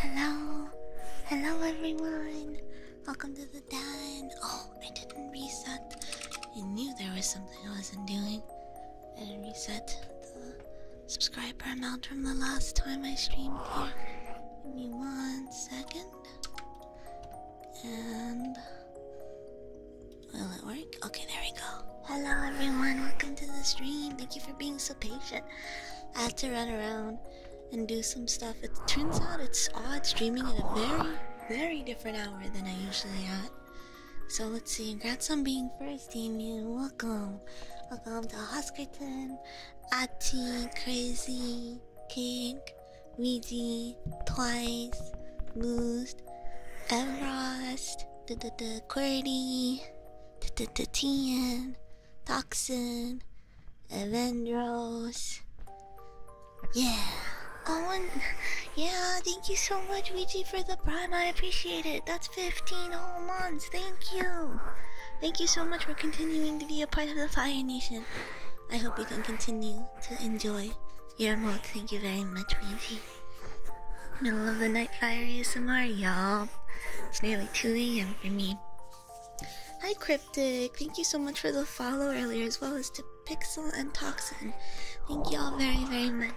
Hello, hello everyone. Welcome to the den. Oh, I didn't reset. I knew there was something I wasn't doing. I didn't reset the subscriber amount from the last time I streamed Give me one second. And will it work? Okay, there we go. Hello everyone, welcome to the stream. Thank you for being so patient. I had to run around and do some stuff. It turns out it's odd streaming at a very, very different hour than I usually at. So let's see, congrats on being first, Team, Welcome. Welcome to Hoskerton, Ati, Crazy, Kink, Weezy, Twice, Moose, Everest, the Qwerty, Tian, Toxin, Evandros. Yeah. Oh, and yeah, thank you so much, Ouija, for the prime. I appreciate it. That's 15 whole months. Thank you. Thank you so much for continuing to be a part of the Fire Nation. I hope you can continue to enjoy your mod. Thank you very much, Ouija. Middle of the night fire ASMR, y'all. It's nearly 2 a.m. for me. Hi, Cryptic. Thank you so much for the follow earlier, as well as to Pixel and Toxin. Thank you all very, very much.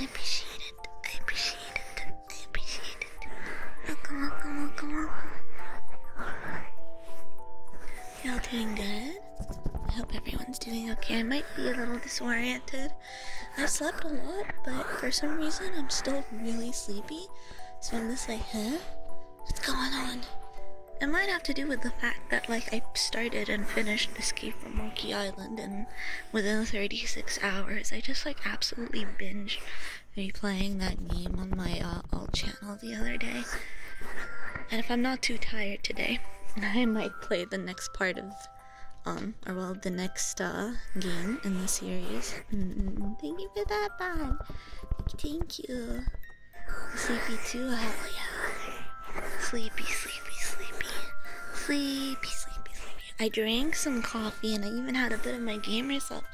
I appreciate it. I appreciate it. I appreciate it. Welcome, welcome, welcome, welcome. Y'all doing good? I hope everyone's doing okay. I might be a little disoriented I slept a lot, but for some reason I'm still really sleepy. So I'm just like, huh? What's going on? It might have to do with the fact that like I started and finished Escape from Monkey Island and within 36 hours I just like absolutely binge replaying that game on my uh, channel the other day. And if I'm not too tired today, I might play the next part of um, or well, the next uh, game in the series. thank you for that, Bon. Thank you. Sleepy too, hell yeah. Sleepy, sleepy, sleepy. Sleepy, sleepy, sleepy. I drank some coffee and I even had a bit of my game result.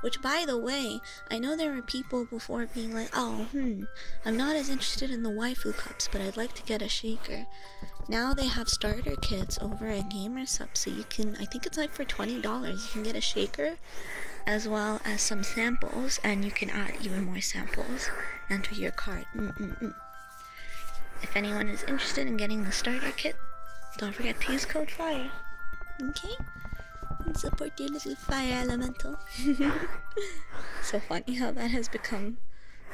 Which, by the way, I know there were people before being like, oh, hmm, I'm not as interested in the waifu cups, but I'd like to get a shaker. Now they have starter kits over at Gamer Sub, so you can, I think it's like for $20, you can get a shaker as well as some samples, and you can add even more samples. into your card. If anyone is interested in getting the starter kit, don't forget to use code FIRE. Okay? And support your little fire elemental. so funny how that has become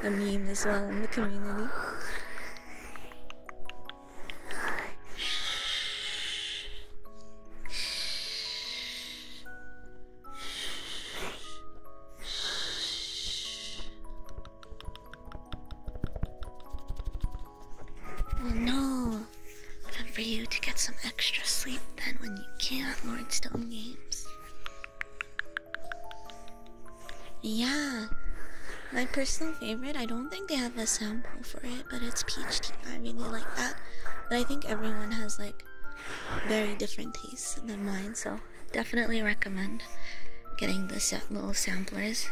a meme as well in the community. Well, oh, no. But for you to get some extra sleep then when you can't, Lord Stone Games. Yeah, my personal favorite. I don't think they have a sample for it, but it's peach tea. I really like that. But I think everyone has like very different tastes than mine, so definitely recommend getting the sa little samplers.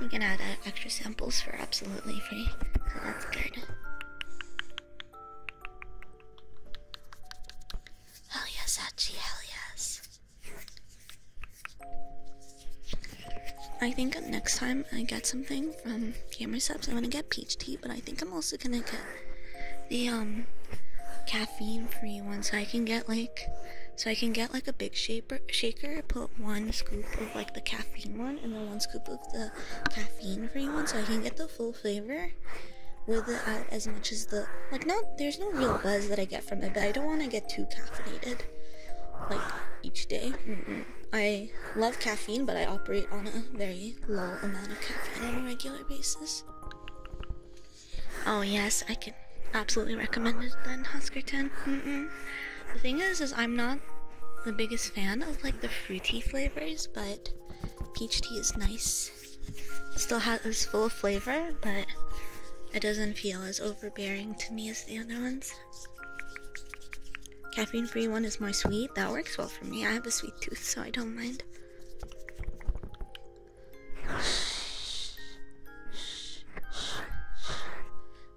You can add uh, extra samples for absolutely free. So that's good. Hell yes, Hachi, hell yes. I think next time I get something from Gamer Subs, I'm gonna get peach tea, but I think I'm also gonna get the um caffeine-free one, so I can get like, so I can get like a big shaper shaker, put one scoop of like the caffeine one, and then one scoop of the caffeine-free one, so I can get the full flavor with as much as the like. Not there there's no real buzz that I get from it, but I don't want to get too caffeinated, like each day. I love caffeine, but I operate on a very low amount of caffeine on a regular basis. Oh yes, I can absolutely recommend it then, Huskerton. The thing is, is I'm not the biggest fan of like the fruity flavors, but peach tea is nice. Still has as full of flavor, but it doesn't feel as overbearing to me as the other ones. Caffeine free one is more sweet. That works well for me. I have a sweet tooth, so I don't mind.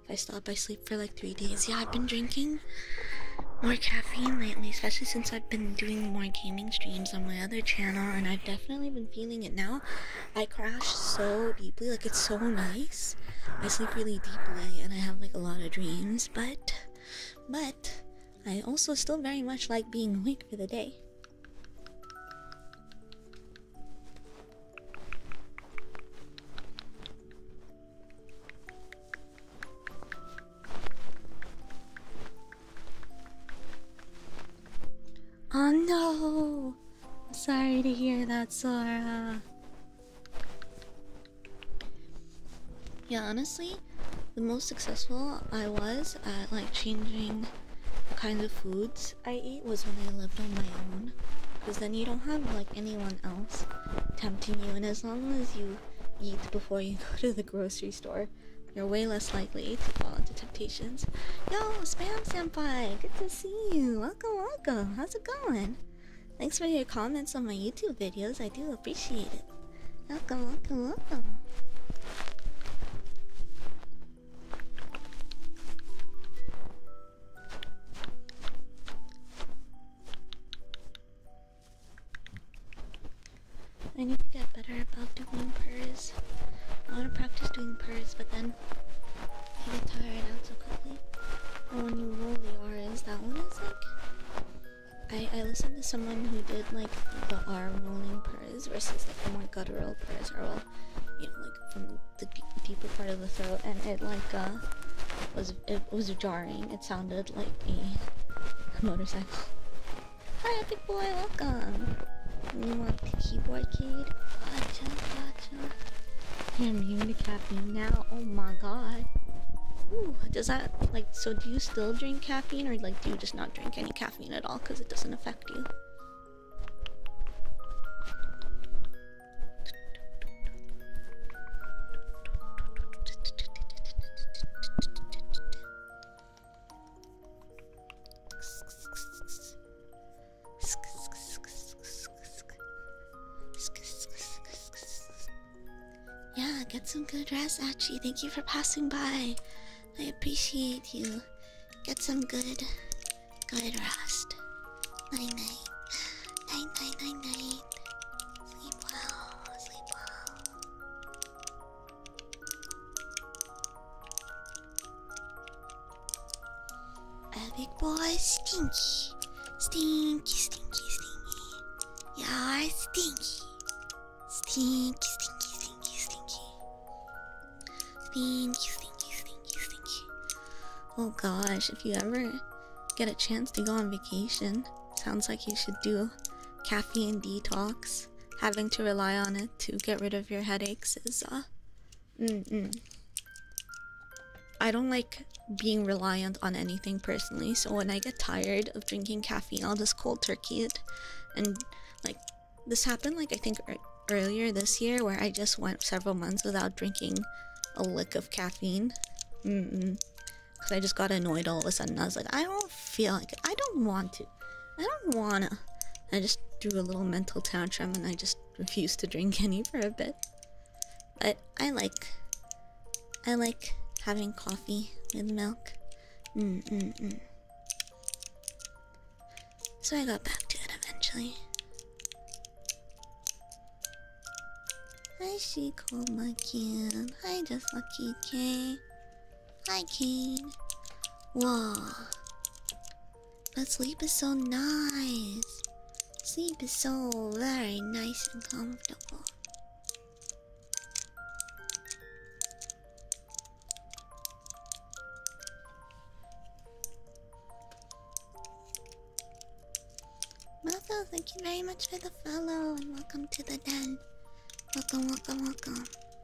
If I stop, I sleep for like three days. Yeah, I've been drinking more caffeine lately, especially since I've been doing more gaming streams on my other channel, and I've definitely been feeling it now. I crash so deeply, like it's so nice. I sleep really deeply and I have like a lot of dreams, but but I also still very much like being awake for the day. Oh no! Sorry to hear that, Sora. Yeah, honestly, the most successful I was at like changing the kinds of foods I eat was when I lived on my own. Because then you don't have like anyone else tempting you, and as long as you eat before you go to the grocery store, you're way less likely to fall into temptation temptations. Yo, Spam Senpai, good to see you. Welcome, welcome. How's it going? Thanks for your comments on my YouTube videos. I do appreciate it. Welcome, welcome, welcome. I need to get better about doing purrs. I want to practice doing purrs, but then I get tired out so quickly. Oh, and when you roll the R's, that one is like. I, I listened to someone who did like the R rolling purrs versus like the more guttural purrs, or well, you know, like from the deep, deeper part of the throat, and it like uh was it was jarring. It sounded like a motorcycle. Hi Hi, boy, welcome. You want the keyboard kid? Gotcha, gotcha. Yeah, I'm caffeine now. Oh my god. Ooh, does that like so? Do you still drink caffeine, or like do you just not drink any caffeine at all because it doesn't affect you? Yeah, get some good rest, Archie. Thank you for passing by. I appreciate you. Get some good, good rest. night. Night night night night. Sleep well. Sleep well. A big boy stinky. Stinky, stinky, stinky. you Stinky, stinky, stinky, stinky. Stinky, stinky, stinky, stinky. Oh gosh, if you ever get a chance to go on vacation, sounds like you should do caffeine detox. Having to rely on it to get rid of your headaches is uh, Mm I don't like being reliant on anything personally, so when I get tired of drinking caffeine, I'll just cold turkey it. And like this happened, like I think earlier this year, where I just went several months without drinking a lick of caffeine. Mm Because I just got annoyed all of a sudden. I was like, I don't feel like I don't want to. I don't wanna. I just do a little mental tantrum and I just refuse to drink any for a bit. But I like. I like having coffee with milk. Mm mm mm. So I got back to it eventually. Hi, she called my kid. Hi, just lucky K. Hi, Kane. Whoa. But sleep is so nice. Sleep is so very nice and comfortable. Motho, thank you very much for the follow and welcome to the den. Welcome, welcome, welcome.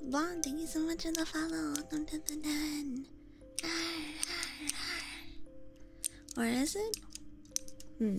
Blonde, thank you so much for the follow. Welcome to the den. Where is it? Hmm.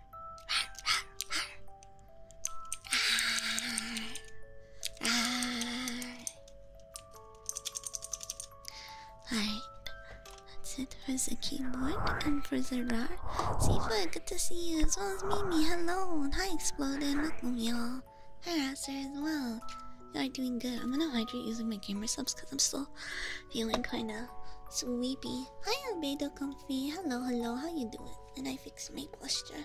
Alright, that's it for the keyboard and for the rar. Seafood, good to see you, as well as Mimi. Hello, and hi, Exploded. Welcome, y'all. Hi, Raster, as well. You are doing good. I'm gonna hydrate using my camera subs because I'm still feeling kinda sleepy. Hi, I'm Albedo Comfy. Hello, hello, how you doing? And I fixed my posture.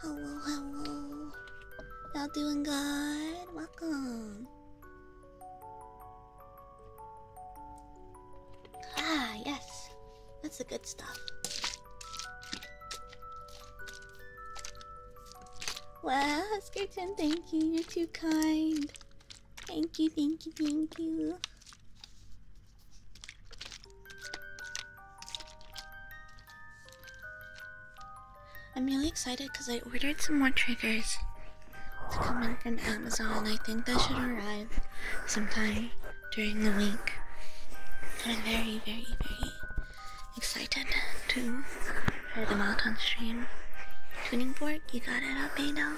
Hello, hello. Y'all doing good? Welcome. Ah, yes. That's the good stuff. Wow, Skirton, thank you. You're too kind. Thank you, thank you, thank you. I'm really excited because I ordered some more triggers to come from Amazon. I think that should arrive sometime during the week. I'm very, very, very excited to try them out on stream. Tuning fork, you got it up, Beto.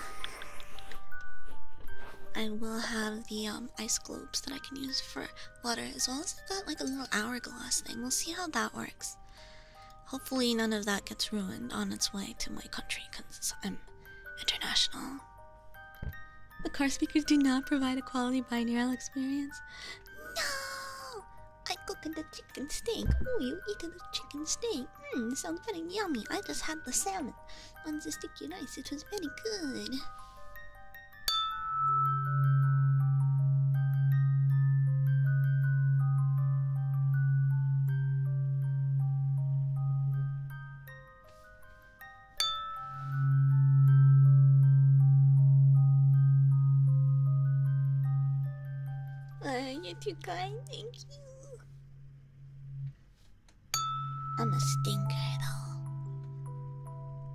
I will have the um, ice globes that I can use for water, as well as I've got like a little hourglass thing. We'll see how that works. Hopefully, none of that gets ruined on its way to my country because I'm international. The car speakers do not provide a quality binaural experience. No! I cooked the chicken steak. Oh, you eat the chicken steak. Mmm, sounds very yummy. I just had the salmon on the sticky rice. It was very good. Oh, you're too kind, thank you. I'm a stinker though.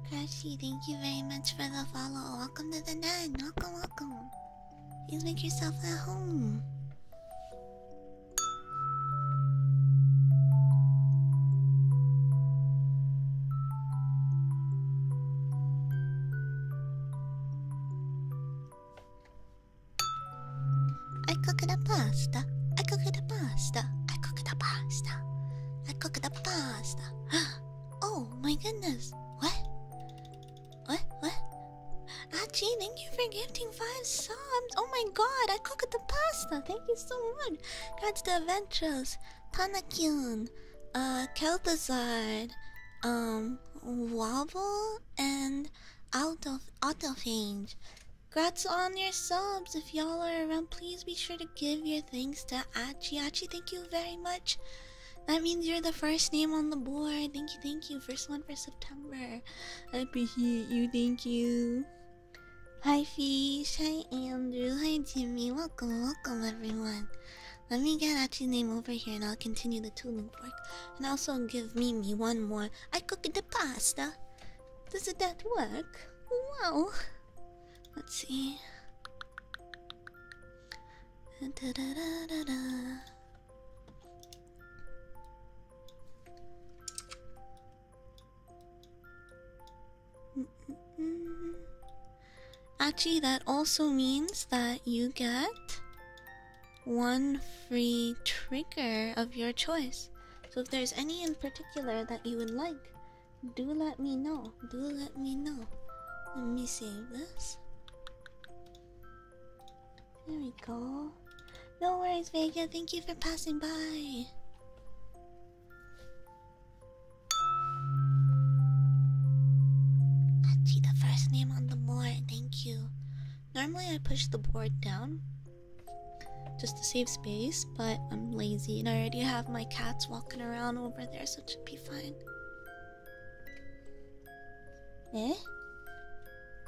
Crashy, thank you very much for the follow. Welcome to the den. Welcome, welcome. Please make yourself at home. I cook the pasta. I cook the pasta. I cook the pasta. I cooked the pasta. Oh my goodness. What? What? What? Archie, thank you for gifting five subs. Oh my god, I cooked the pasta. Thank you so much. Congrats to Adventures, Panakyun, uh, Kelpazard, um, Wobble, and Out of Autophage. Grats on your subs. If y'all are around, please be sure to give your thanks to Achi. Achi, thank you very much. That means you're the first name on the board. Thank you, thank you. First one for September. I appreciate you, thank you. Hi Fish, hi Andrew, hi Jimmy. Welcome, welcome everyone. Let me get Achi's name over here and I'll continue the tuning work. And also give Mimi one more. I cook the pasta. Does that work? Wow. Let's see. Actually, that also means that you get one free trigger of your choice. So, if there's any in particular that you would like, do let me know. Do let me know. Let me save this. There we go. No worries, Vega. Thank you for passing by. I see the first name on the board. Thank you. Normally, I push the board down, just to save space, but I'm lazy and I already have my cats walking around over there, so it should be fine. Eh?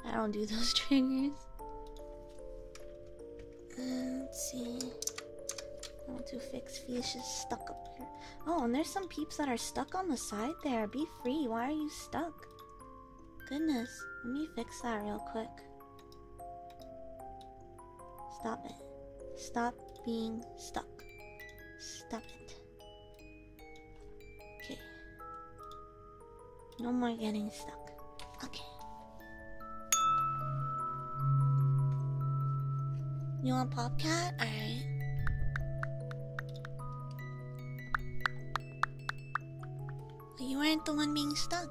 I don't do those triggers. Uh, let's see. I want to fix fish is stuck up here. Oh, and there's some peeps that are stuck on the side there. Be free. Why are you stuck? Goodness. Let me fix that real quick. Stop it. Stop being stuck. Stop it. Okay. No more getting stuck. Okay. You want Popcat? Alright. You weren't the one being stuck.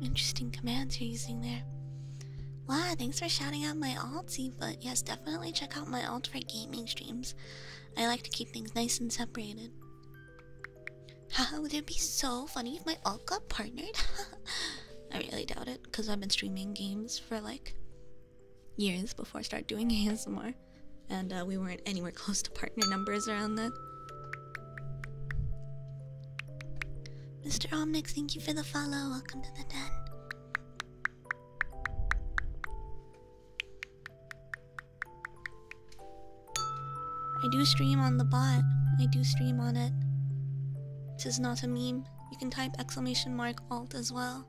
Interesting commands you're using there. Wow, thanks for shouting out my alt, altsy, but yes, definitely check out my alt for gaming streams. I like to keep things nice and separated. Haha, would it be so funny if my alt got partnered? I really doubt it, because I've been streaming games for like years before I started doing ASMR. and uh, we weren't anywhere close to partner numbers around then. Mr. Omnix, thank you for the follow. Welcome to the den. I do stream on the bot. I do stream on it. Tis not a meme. You can type exclamation mark alt as well.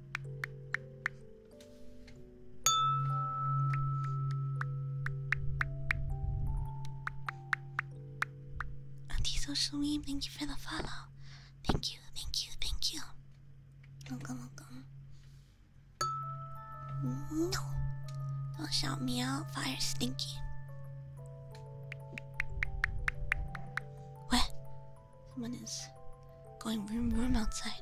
Antisocially, thank you for the follow. Thank you, thank you, thank you. Welcome, welcome. No! Don't shout me out, fire stinky. What? Someone is going room room outside.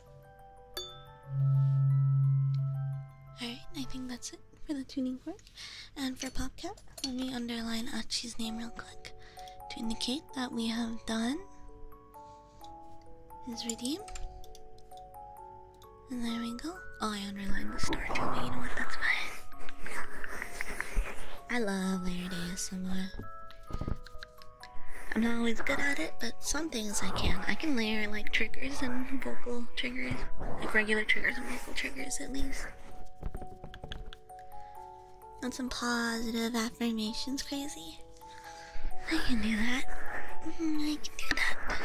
Alright, I think that's it for the tuning fork. And for PopCap, let me underline Achi's name real quick to indicate that we have done his redeem. And there we go. Oh, I underlined the star too, but you know what? That's fine. I love layer day ASMR. I'm not always good at it, but some things I can. I can layer like triggers and vocal triggers, like regular triggers and vocal triggers at least. And some positive affirmations, crazy. I can do that. Mm-hmm, I can do that.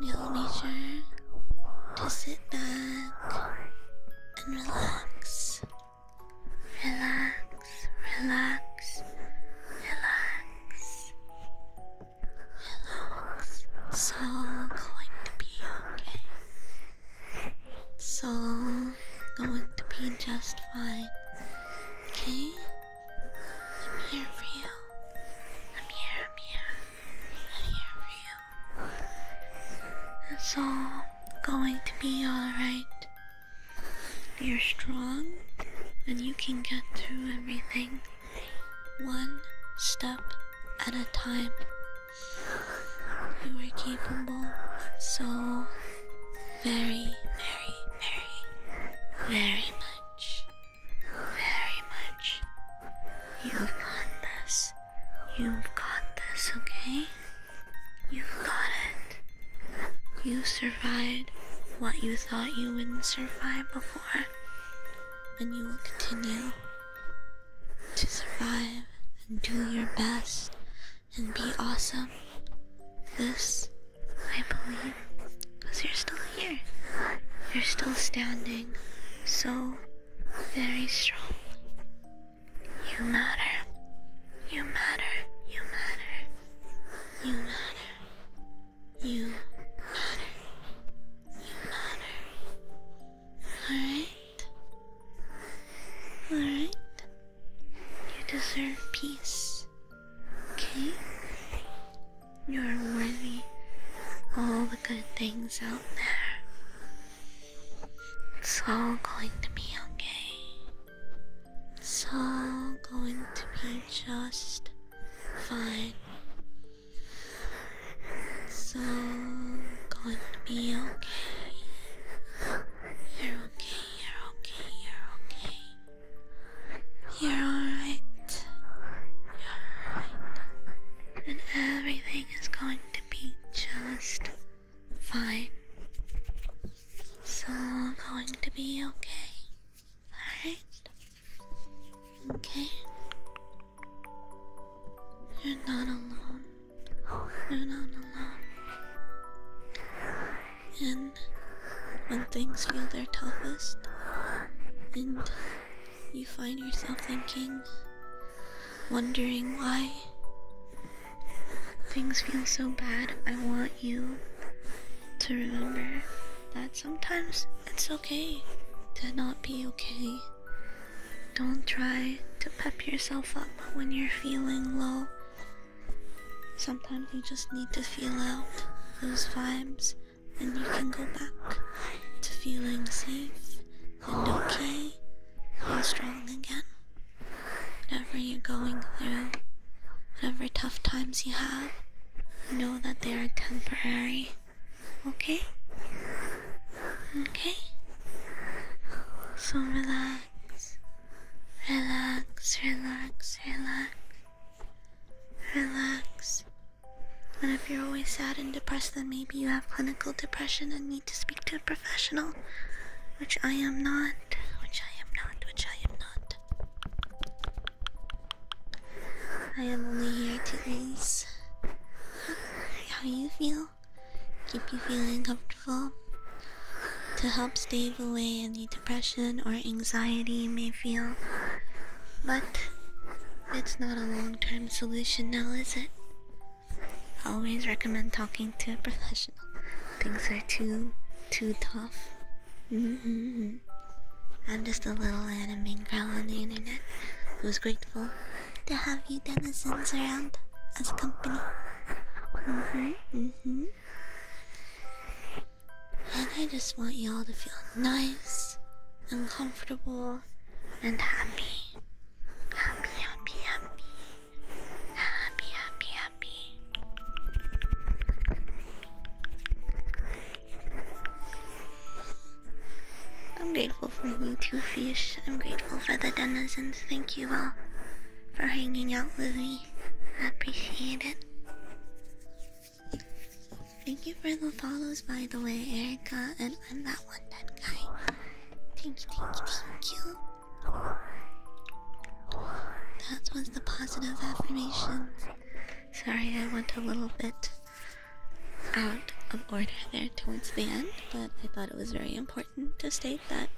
You'll make sure to sit back and relax. Relax relax, relax, relax. It's all going to be okay. It's all going to be just fine. Okay? I'm here for you. I'm here, I'm here. I'm here for you. It's all going to be alright. You're strong and you can get through everything one step at a time. You are capable, so very, very, very, very much, very much. You've got this. You've got this, okay? You've got it. You survived what you thought you wouldn't survive before, and you will continue to survive and do your best and be awesome. This, I believe, because you're still here. You're still standing so very strong. You matter. You matter. You matter. You matter. You matter. You matter. Alright? Alright? You deserve peace. Okay? You are worthy all the good things out there. It's all going to be okay. It's all going to be just fine. It's all going to be okay. You're okay, you're okay, you're okay. You're alright. You're alright. And everything is going to be just fine. It's all going to be okay. Alright. Okay. You're not alone. You're not alone. And when things feel their toughest, and you find yourself thinking, wondering why things feel so bad, I want you to remember that sometimes it's okay to not be okay. Don't try to pep yourself up when you're feeling low. Sometimes you just need to feel out those vibes, and you can go back to feeling safe and okay and strong again. Whatever you're going through. Whatever tough times you have, know that they are temporary. Okay? Okay? So relax. Relax, relax, relax. Relax. And if you're always sad and depressed, then maybe you have clinical depression and need to speak to a professional. Which I am not. Which I am not. Which I am not. I am only here to ease how you feel, keep you feeling comfortable, to help stave away any depression or anxiety you may feel. But it's not a long term solution now, is it? always recommend talking to a professional. Things are too, too tough. Mm-hmm. I'm just a little anime girl on the internet who's grateful to have you denizens around as company. hmm hmm And I just want you all to feel nice and comfortable and Happy, happy, happy. Happy, happy, happy. I'm grateful for you two fish. I'm grateful for the denizens. Thank you all for hanging out with me. I appreciate it. Thank you for the follows, by the way, Erica, and I'm that one dead guy. Thank you, thank you, thank you. That was the positive affirmations. Sorry, I went a little bit out of order there towards the end, but I thought it was very important to state that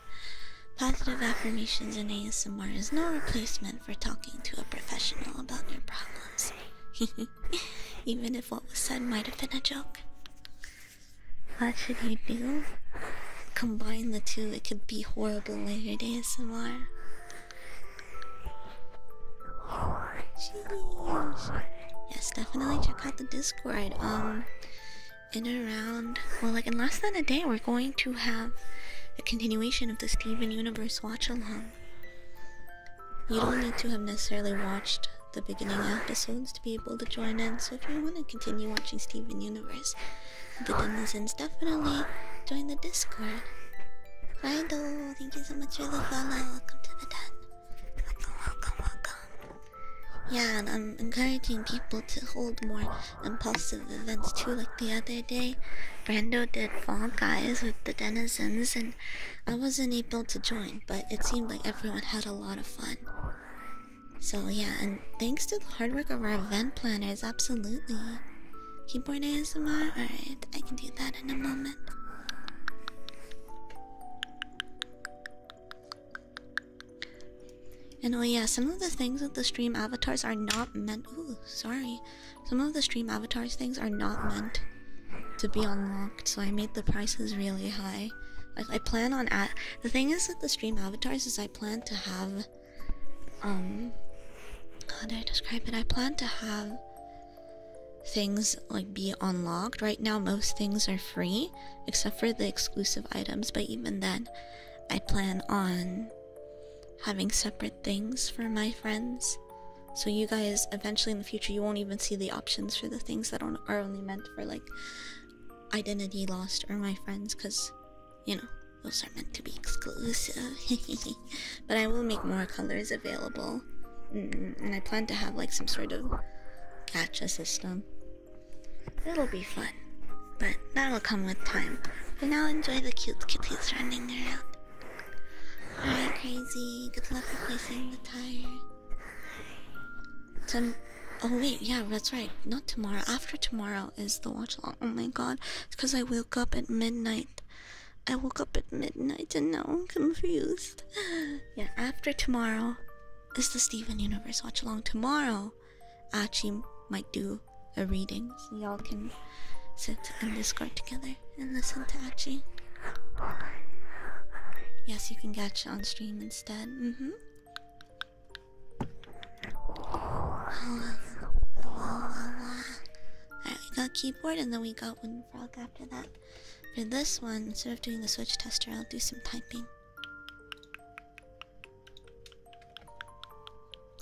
positive affirmations in ASMR is no replacement for talking to a professional about your problems. Even if what was said might have been a joke. What should you do? Combine the two, it could be horrible layered ASMR. Yes, definitely check out the Discord. Um, in around well, like in less than a day, we're going to have a continuation of the Steven Universe watch along. You don't need to have necessarily watched the beginning episodes to be able to join in. So if you want to continue watching Steven Universe, the denizens definitely join the Discord. Rido, thank you so much for the follow. Welcome to the den. Welcome, welcome, welcome. Yeah, and I'm encouraging people to hold more impulsive events too. Like the other day, Brando did Fall Guys with the denizens, and I wasn't able to join, but it seemed like everyone had a lot of fun. So, yeah, and thanks to the hard work of our event planners, absolutely. Keyboard ASMR? Alright, I can do that in a moment. And oh yeah, some of the things with the stream avatars are not meant ooh, sorry. Some of the stream avatars things are not meant to be unlocked, so I made the prices really high. Like I plan on at the thing is that the stream avatars is I plan to have um how do I describe it? I plan to have things like be unlocked. Right now most things are free except for the exclusive items, but even then I plan on having separate things for my friends. So you guys eventually in the future you won't even see the options for the things that are only meant for like identity lost or my friends cuz you know those are meant to be exclusive. but I will make more colors available. Mm, and I plan to have like some sort of catch a system. It'll be fun. But that'll come with time. For now, enjoy the cute kitties running around. Alright, crazy. Good luck replacing the tire. Some. Oh, wait, yeah, that's right. Not tomorrow. After tomorrow is the watch along. Oh my god. It's because I woke up at midnight. I woke up at midnight and now I'm confused. Yeah, after tomorrow is the Steven Universe Watch Along. Tomorrow, I might do a reading so y'all can sit in Discord together and listen to Achi. Yes, you can catch on stream instead. Mm-hmm. Alright, we got keyboard and then we got one frog after that. For this one, instead of doing the switch tester, I'll do some typing.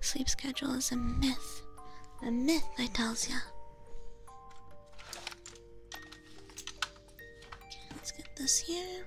Sleep schedule is a myth. A myth, I tells ya. let's get this here.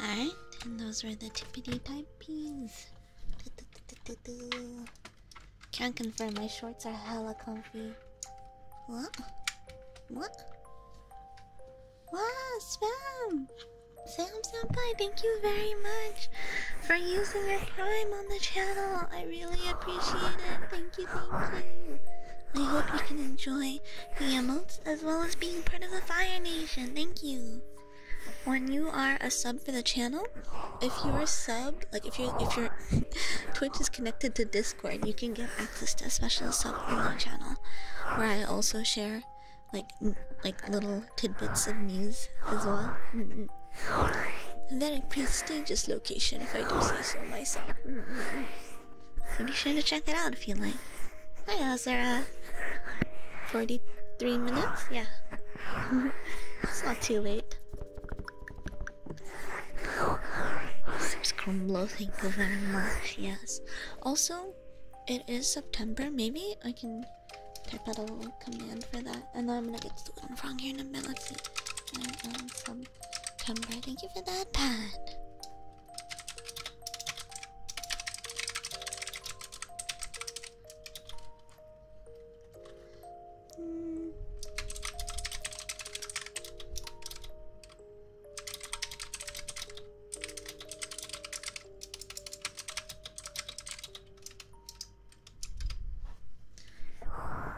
Alright, and those were the tippity type peas. Can't confirm my shorts are hella comfy. What? What? Wow, spam! Sam Senpai, thank you very much for using your prime on the channel. I really appreciate it. Thank you, thank you. I hope you can enjoy the emotes as well as being part of the Fire Nation. Thank you when you are a sub for the channel, if you're a sub, like if you if your Twitch is connected to Discord, you can get access to a special sub only channel where I also share like like little tidbits of news as well. Mm -mm. Very prestigious location, if I do say so myself. Mm-hmm. So be sure to check it out if you like. Hi, Azara. Forty-three minutes? Yeah. it's not too late. There's Crumble, thank you very much, yes. Also, it is September, maybe I can type out a little command for that. And then I'm gonna get something wrong here in a minute. Let's see. I am September. Thank you for that, Pat. Mm.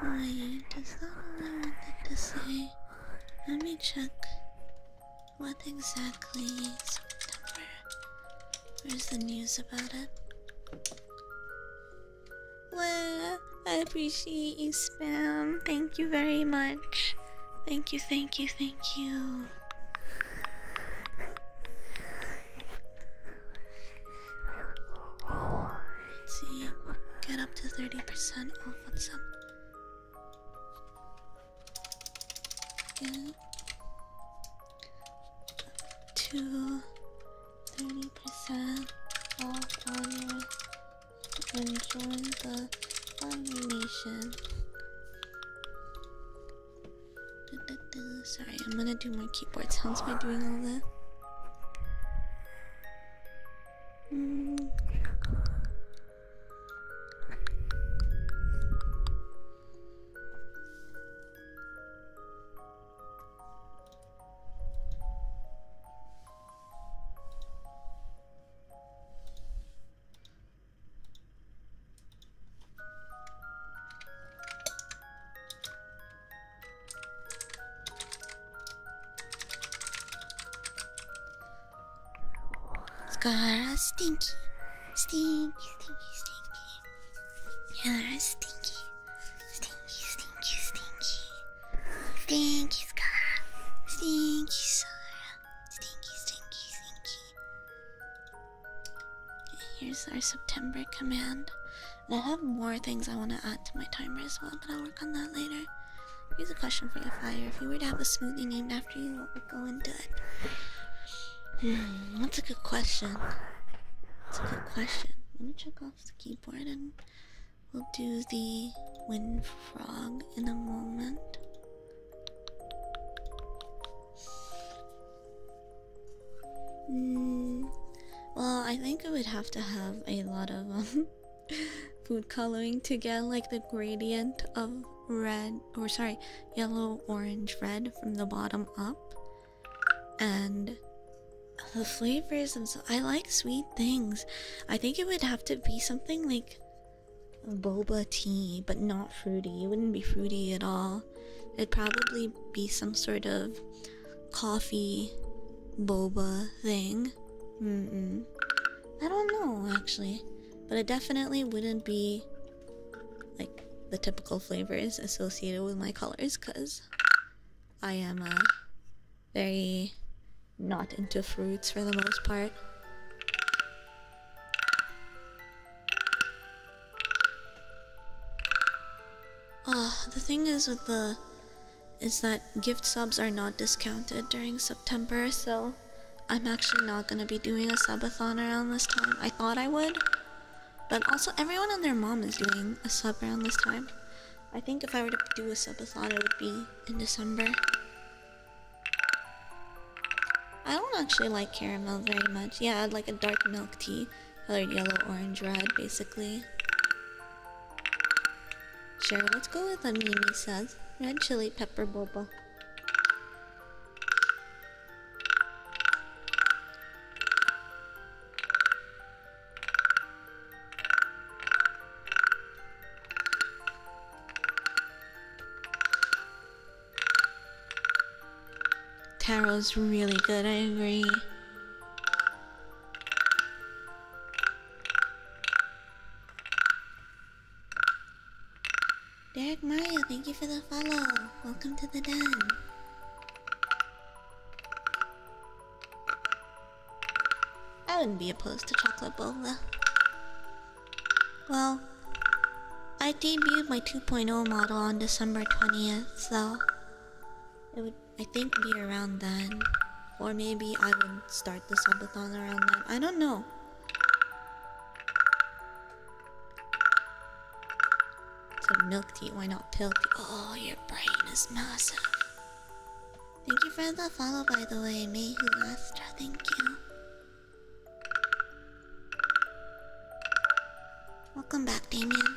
Wait, does that remember that to say? Let me check what exactly September Where's the news about it? Well, I appreciate you, Spam. Thank you very much. Thank you, thank you, thank you. see, get up to 30% off on some to 30% off on your and join the Fun Nation. Sorry, I'm gonna do my keyboard sounds by doing all that. Mm. Stinky, stinky, stinky, stinky you stinky, stinky, stinky, stinky. Stinky stinky stinky, stinky, Here's our September command. And I have more things I want to add to my timer as well, but I'll work on that later. Here's a question for you, Fire. If you were to have a smoothie named after you, what would go into it? Hmm, that's a good question. That's a good question. Let me check off the keyboard and we'll do the wind frog in a moment. Hmm, well, I think I would have to have a lot of um, food coloring to get like the gradient of red or sorry, yellow, orange, red from the bottom up and the flavors themselves. I like sweet things. I think it would have to be something like boba tea, but not fruity. It wouldn't be fruity at all. It'd probably be some sort of coffee boba thing. I don't know actually, but it definitely wouldn't be like the typical flavors associated with my colors because I am uh, very not into fruits for the most part. Ah, the thing is with the is that gift subs are not discounted during September, so I'm actually not gonna be doing a subathon around this time. I thought I would, but also, everyone and their mom is doing a sub around this time. I think if I were to do a subathon, it would be in December. I don't actually like caramel very much. Yeah, i like a dark milk tea, colored yellow, orange, red, basically. Sure, let's go with what Mimi says. Red chili pepper bubble. Tarot's really good, I agree. Derek Mario, thank you for the follow. Welcome to the den. I wouldn't be opposed to chocolate bola. Well, I debuted my 2.0 model on December 20th, so it would, I think, be around then. Or maybe I would start the subathon around then. I don't know. Said milk tea, why not pill Oh, your brain is massive. Thank you for the follow, by the way, Mayhu Astra. Thank you. Welcome back, Damien.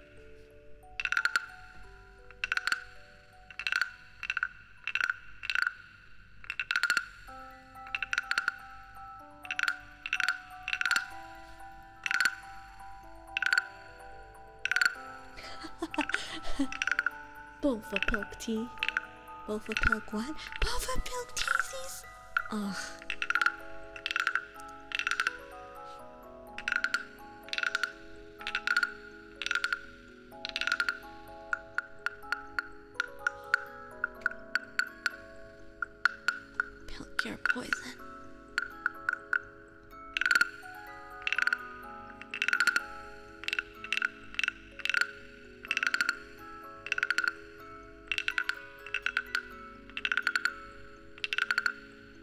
Both a pilk tea. Both a pilk what? Both a pilk teasies? Ugh. Pill cure poison.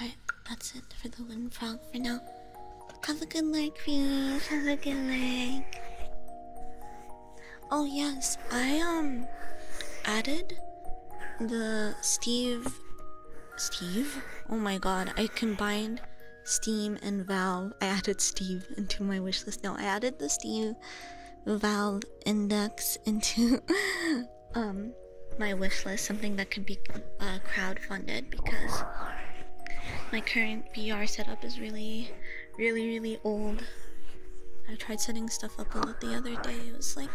Alright, that's it for the wind frog for now. Have a good night, please. Have a good night. Oh yes, I um added the Steve Steve? Oh my god, I combined Steam and Valve. I added Steve into my wishlist. Now I added the Steve Valve index into um my wishlist, something that could be uh, crowdfunded because my current VR setup is really, really, really old. I tried setting stuff up a lot the other day. It was like,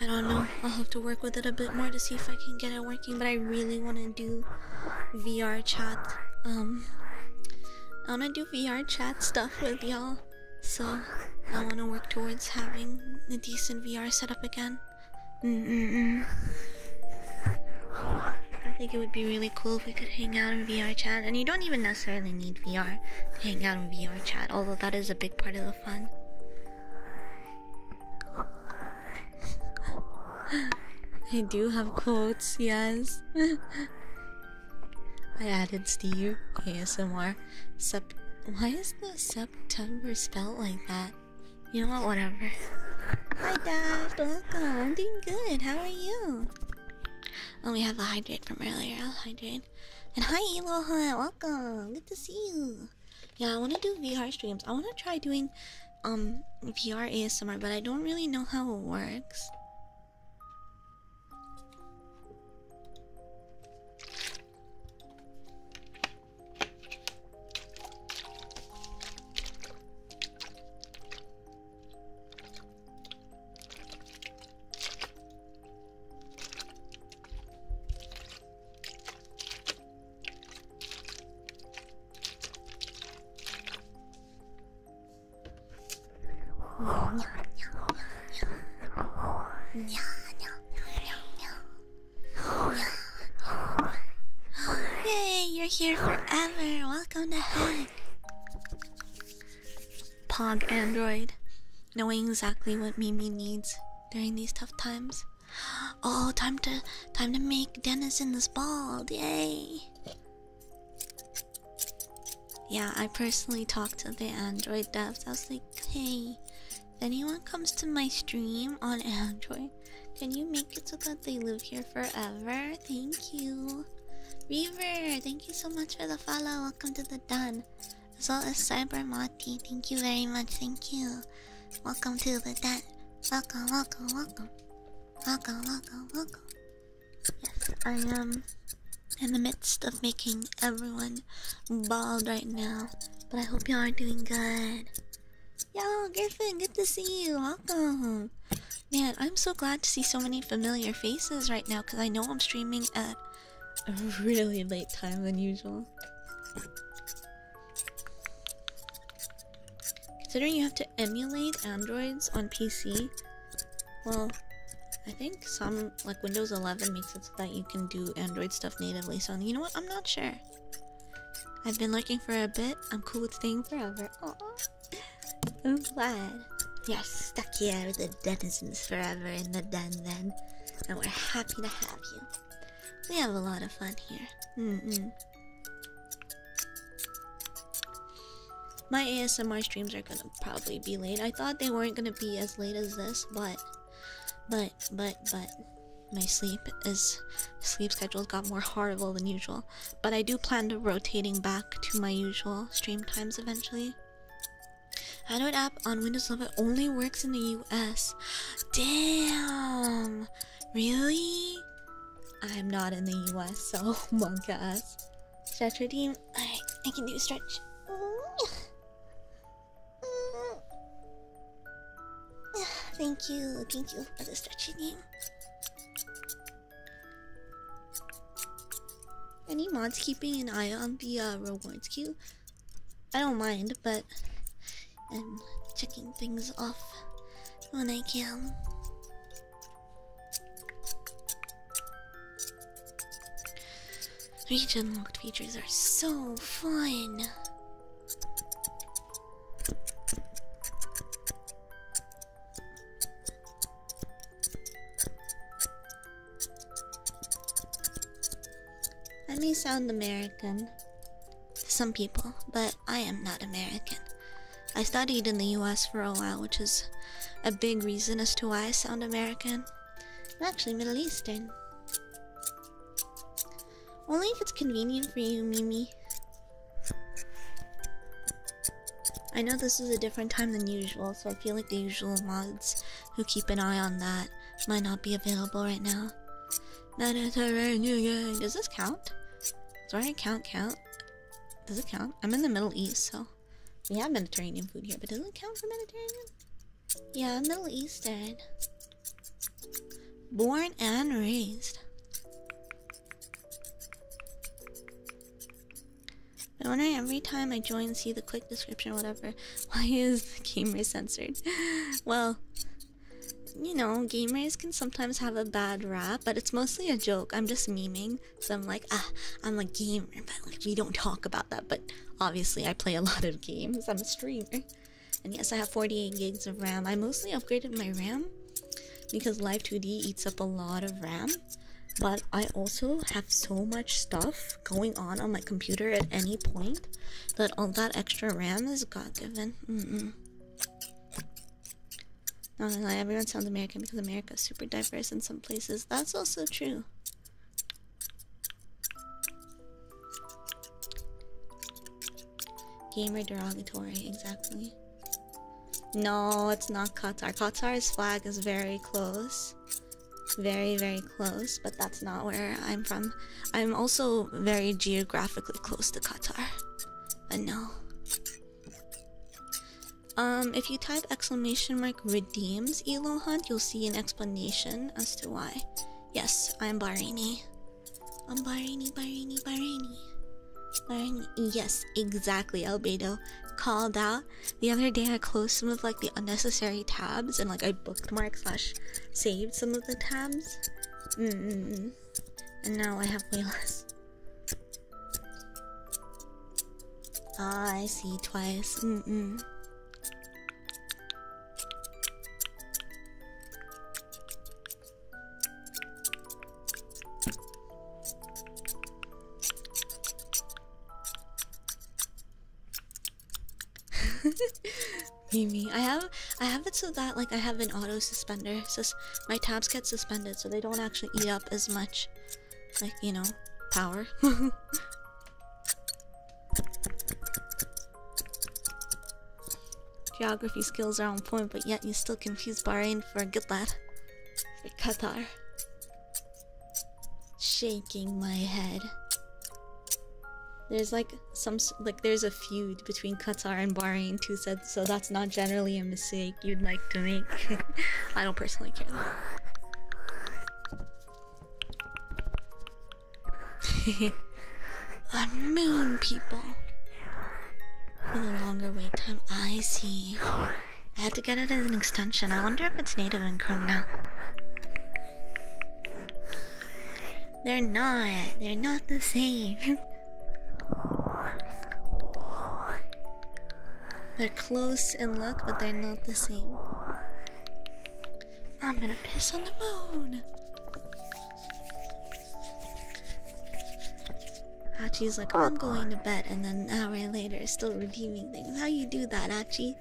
I don't know, I'll have to work with it a bit more to see if I can get it working, but I really want to do VR chat. Um, I want to do VR chat stuff with y'all, so I want to work towards having a decent VR setup again. Mm -mm -mm. I think it would be really cool if we could hang out in VR chat, and you don't even necessarily need VR to hang out in VR chat, although that is a big part of the fun. I do have quotes, yes. I added to you ASMR. Sep Why is the September spelled like that? You know what? Whatever. Hi, Dad. Welcome. I'm doing good. How are you? Oh, we have a hydrate from earlier. I'll hydrate. And hi, Eloha. Welcome. Good to see you. Yeah, I want to do VR streams. I want to try doing um VR ASMR, but I don't really know how it works. Yay, you're here forever. Welcome to heck. Pog Android, knowing exactly what Mimi needs during these tough times. Oh, time to time to make Dennis in this bald. Yay! Yeah, I personally talked to the Android devs. I was like, hey, if anyone comes to my stream on Android, can you make it so that they live here forever? Thank you. Reaver, thank you so much for the follow. Welcome to the Dun. As well as Cybermati, thank you very much. Thank you. Welcome to the den. Welcome, welcome, welcome. Welcome, welcome, welcome. Yes, I am in the midst of making everyone bald right now. But I hope you are doing good. Yo, Griffin, good to see you. Welcome. Man, I'm so glad to see so many familiar faces right now because I know I'm streaming at a really late time than usual. Considering you have to emulate Androids on PC, well, I think some, like Windows 11 makes it so that you can do Android stuff natively, so you know what, I'm not sure. I've been looking for a bit, I'm cool with staying forever, aww. I'm glad. We are stuck here with the denizens forever in the den then, and we're happy to have you. We have a lot of fun here. mm my ASMR streams are gonna probably be late. I thought they weren't gonna be as late as this, but, but, but, but, my sleep is sleep schedule got more horrible than usual. But I do plan to rotating back to my usual stream times eventually. I do Android app on Windows 11 only works in the US. Damn! Really? I'm not in the US, so monka. us. Oh stretch team. I I can do stretch. Thank you, thank you for the stretching game. Any mods keeping an eye on the uh, rewards queue? I don't mind but I'm checking things off when I can. Region locked features are so fun. I may sound American, some people, but I am not American. I studied in the US for a while, which is a big reason as to why I sound American. I'm actually Middle Eastern. Only if it's convenient for you, Mimi. I know this is a different time than usual, so I feel like the usual mods who keep an eye on that might not be available right now. Does this count? Does I count count? Does it count? I'm in the Middle East, so we have Mediterranean food here, but does it count for Mediterranean? Yeah, Middle Eastern. Born and raised. I wonder every time I join, see the quick description, whatever. Why is the gamer censored? well, you know, gamers can sometimes have a bad rap, but it's mostly a joke. I'm just meming, so I'm like, ah, I'm a gamer, but like we don't talk about that. But obviously, I play a lot of games. I'm a streamer, and yes, I have 48 gigs of RAM. I mostly upgraded my RAM because Live 2D eats up a lot of RAM. But I also have so much stuff going on on my computer at any point that all that extra RAM is God given. No, no, everyone sounds American because America is super diverse in some places. That's also true. Gamer derogatory, exactly. No, it's not Qatar. Qatar's flag is very close. Very, very close, but that's not where I'm from. I'm also very geographically close to Qatar. But no. Um, if you type exclamation mark redeems Elo Hunt, you'll see an explanation as to why. Yes, I'm Barini. I'm Barini, Barini, Barini. Barini. Yes, exactly, Albedo. Called out. The other day I closed some of like the unnecessary tabs and like I bookmarked slash saved some of the tabs. Mm -mm and now I have way less. Ah, I see twice. Mm mm. Mimi, I have I have it so that like I have an auto suspender, my tabs get suspended so they don't actually eat up as much like you know power geography skills are on point but yet you still confuse bahrain for a good lad for qatar shaking my head there's like some like there's a few between Qatar and Bahrain too said so that's not generally a mistake you'd like to make. I don't personally care though. A million people for longer wait time. I see. I had to get it as an extension. I wonder if it's native in Chrome now. They're not. They're not the same. They're close in look, but they're not the same. I'm gonna piss on the moon. Hachi's like, I'm going to bed, and then an hour later, still redeeming things. How you do that, Hachi?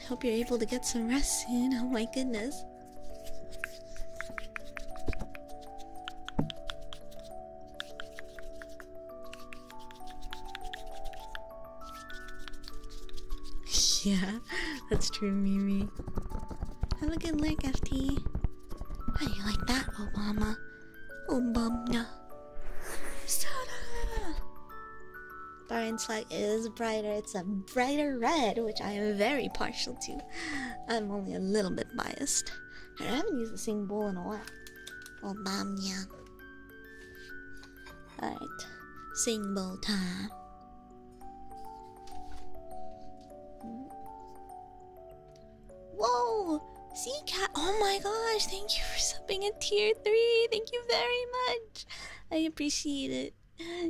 I hope you're able to get some rest soon. Oh my goodness. yeah, that's true, Mimi. Have a good look, FT. How do you like that, Obama? Obama. Soda! Baron's flag is brighter. It's a brighter red, which I am very partial to. I'm only a little bit biased. I haven't used the same bowl in a while. Oh, bam, yeah. Alright, sing bowl time. Whoa! See, cat. Oh my gosh, thank you for subbing at tier 3. Thank you very much. I appreciate it.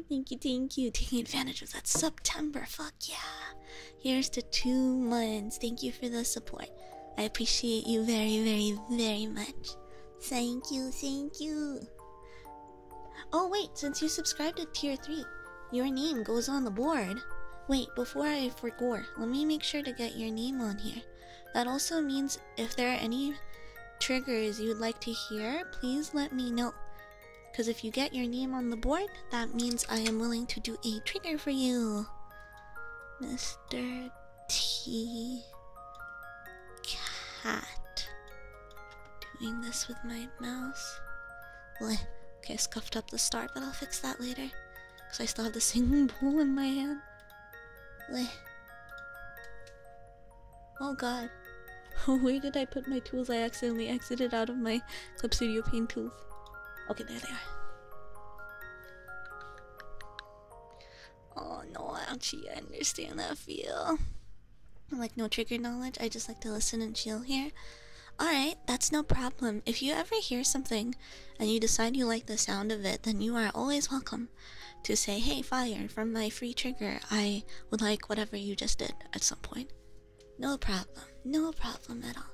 Thank you, thank you. Taking advantage of that September. Fuck yeah. Here's to two months. Thank you for the support. I appreciate you very, very, very much. Thank you, thank you. Oh, wait, since you subscribed to tier 3, your name goes on the board. Wait, before I forget, let me make sure to get your name on here. That also means if there are any triggers you'd like to hear, please let me know. Because if you get your name on the board, that means I am willing to do a trigger for you. Mr. T. Cat. Doing this with my mouse. Bleh. Okay, scuffed up the start, but I'll fix that later. Because I still have the singing bowl in my hand. Bleh. Oh god. Where did I put my tools? I accidentally exited out of my Clip Studio Paint tool Okay, there they are. Oh no, actually, I understand that feel. Like, no trigger knowledge, I just like to listen and chill here. Alright, that's no problem. If you ever hear something and you decide you like the sound of it, then you are always welcome to say, Hey, fire, from my free trigger, I would like whatever you just did at some point. No problem, no problem at all.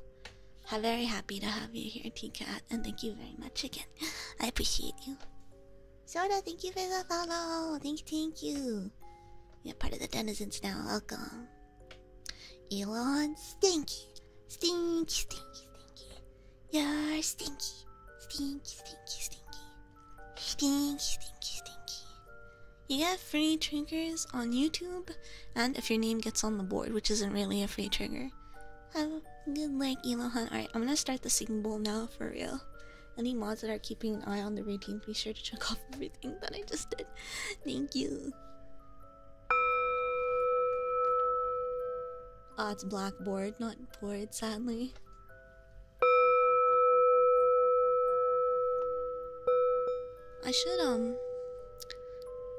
I'm very happy to have you here, T-Cat, and thank you very much again. I appreciate you. Soda, thank you for the follow. Thank you, thank you. You're part of the denizens now. Welcome. Elon, stinky, stinky, stinky, stinky. You're stinky, stinky, stinky, stinky, stinky, stinky, stinky. You get free triggers on YouTube, and if your name gets on the board, which isn't really a free trigger. Have a good luck, Elohan. Alright, I'm gonna start the singing bowl now for real. Any mods that are keeping an eye on the routine, be sure to check off everything that I just did. Thank you. Ah, oh, it's blackboard, not board, sadly. I should, um,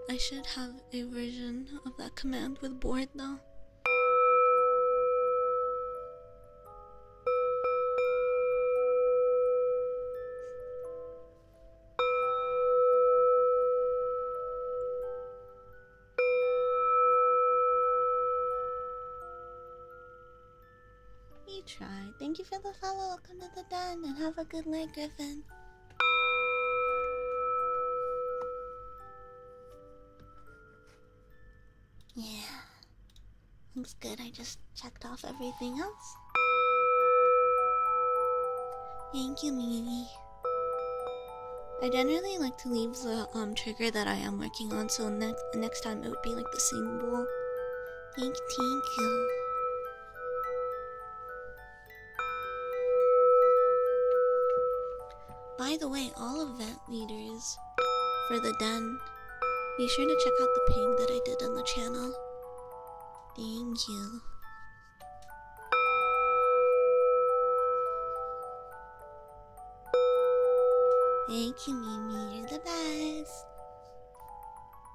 I should have a version of that command with board though. He tried. Thank you for the follow. Welcome to the den and have a good night, Griffin. Yeah. Looks good. I just checked off everything else. Thank you, Mimi. I generally like to leave the um trigger that I am working on, so next next time it would be like the same bowl. Thank, thank you. By the way, all of that leaders for the den, be sure to check out the ping that I did on the channel. Thank you. Thank you, Mimi. You're the best.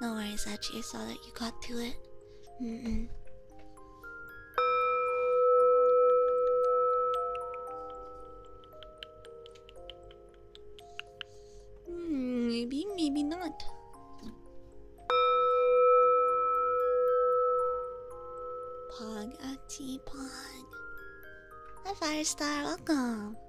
No worries, Actually, I saw that you got to it. Mm maybe, maybe not. Pog, Ati, Pog. Hi, Firestar, welcome.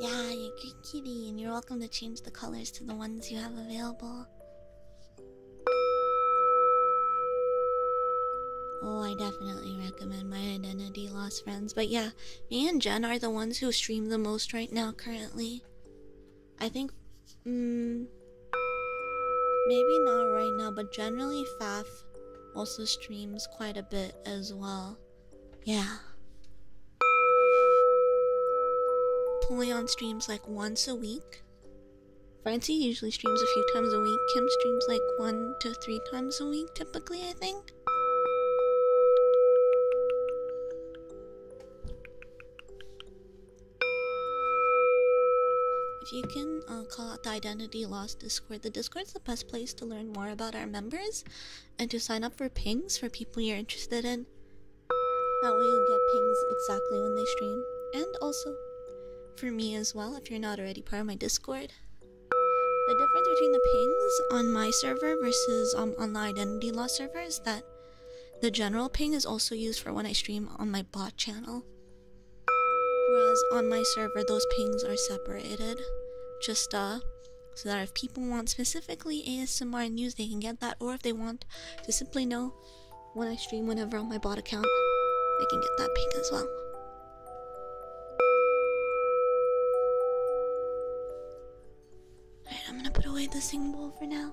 Yeah, you're good kitty, and you're welcome to change the colors to the ones you have available. Oh, I definitely recommend my identity lost friends. But yeah, me and Jen are the ones who stream the most right now, currently. I think, mm, maybe not right now, but generally Faf also streams quite a bit as well. Yeah. on streams like once a week. Francie usually streams a few times a week. Kim streams like one to three times a week, typically, I think. If you can uh, call out the Identity Lost Discord, the Discord is the best place to learn more about our members and to sign up for pings for people you're interested in. That way you'll get pings exactly when they stream. And also for me as well, if you're not already part of my Discord. The difference between the pings on my server versus um, on the identity law servers, that the general ping is also used for when I stream on my bot channel. Whereas on my server, those pings are separated. Just uh, so that if people want specifically ASMR news, they can get that, or if they want to simply know when I stream whenever on my bot account, they can get that ping as well. Alright, I'm gonna put away the sing bowl for now.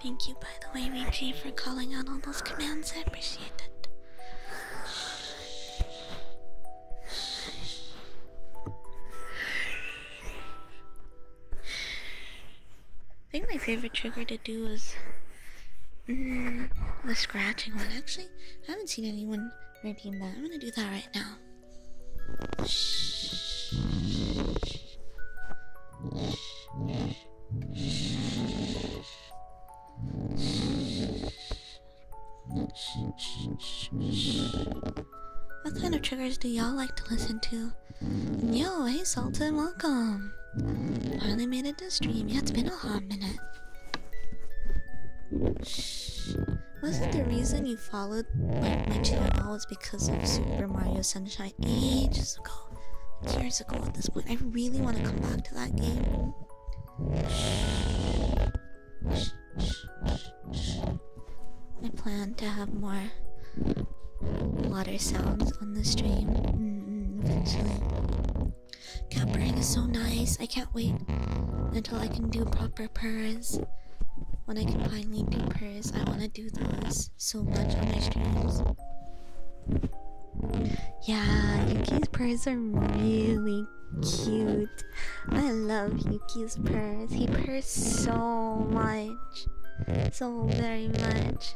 Thank you, by the way, VG, for calling out all those commands. I appreciate it. I think my favorite trigger to do is mm, the scratching one. Actually, I haven't seen anyone redeem that. I'm gonna do that right now. What kind of triggers do y'all like to listen to? Yo, hey Sultan, welcome. Finally made it to stream. Yeah, it's been a hot minute. Shh. Wasn't the reason you followed my, my channel was because of Super Mario Sunshine ages ago? Years ago at this point. I really want to come back to that game. Shh. Shh, shh, shh. I plan to have more water sounds on the stream. Hmm mm, eventually. Cat is so nice. I can't wait until I can do proper prayers. When I can finally do prayers, I want to do those so much on my streams. Yeah, Yuki's prayers are really cute. I love Yuki's prayers. He purrs so much. So very much.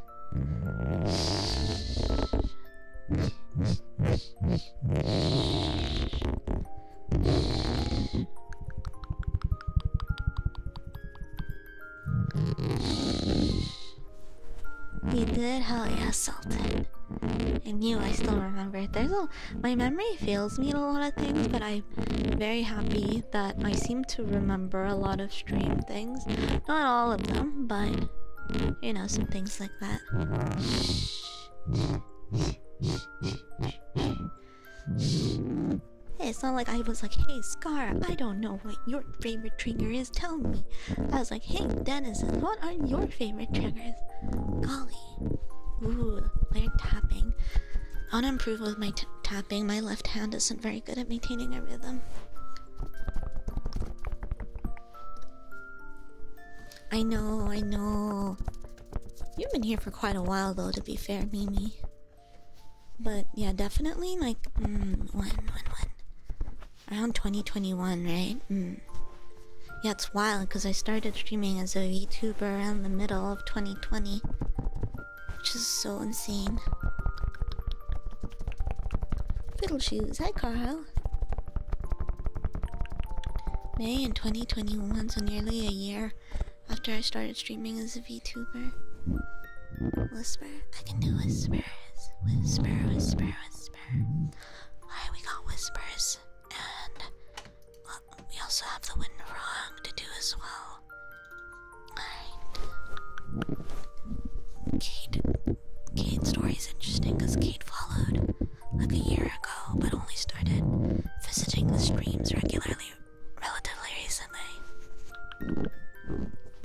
You did? how yeah, assaulted. I knew I still remember. it. There's a my memory fails me a lot of things, but I'm very happy that I seem to remember a lot of stream things. Not all of them, but you know, some things like that. Hey, it's not like I was like, hey, Scar, I don't know what your favorite trigger is, tell me. I was like, hey, Denizen, what are your favorite triggers? Golly. Ooh, layer tapping. I want to improve with my tapping. My left hand isn't very good at maintaining a rhythm. I know, I know. You've been here for quite a while, though, to be fair, Mimi. But yeah, definitely like, mm, Around 2021, right? Mm. Yeah, it's wild because I started streaming as a YouTuber around the middle of 2020, which is so insane. Fiddle shoes. Hi, Carl. May in 2021, so nearly a year after I started streaming as a VTuber. Whisper. I can do whispers. Whisper, whisper, whisper. Alright, we got whispers. And we also have the wind wrong to do as well. Alright. Kate, Kate's story is interesting because Kate followed like a year ago, but only started visiting the streams regularly relatively recently.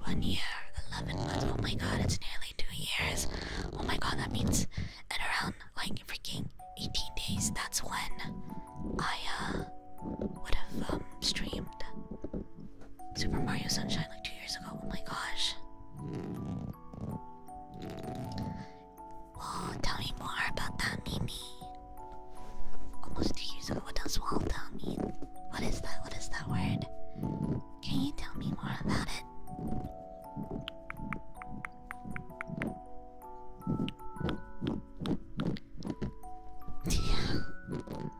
One year, 11 months, oh my god, it's nearly two years. Oh my god, that means in around like freaking 18 days, that's when I uh, would have um, streamed Super Mario Sunshine like two years ago. Oh my gosh. Well, tell me more about that, Mimi. Almost two years ago. What does wall tell mean? What is that? What is that word? Can you tell me more about it? yeah.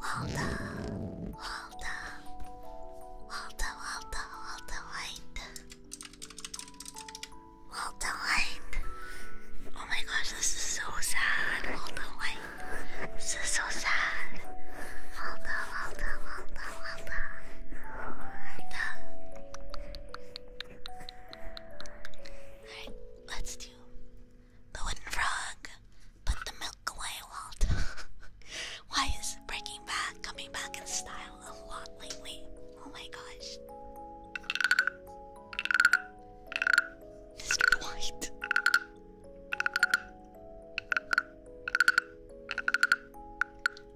好的，好的，好的，好的，好的，好的，好的，好的。Oh my gosh, this is so sad. All the way. This is so sad. All the, all the, all the, all the, all the. All right, let's do the wooden frog. Put the milk away, Walt. Why is Breaking Bad coming back in style a lot lately? Oh my gosh. This Dwight.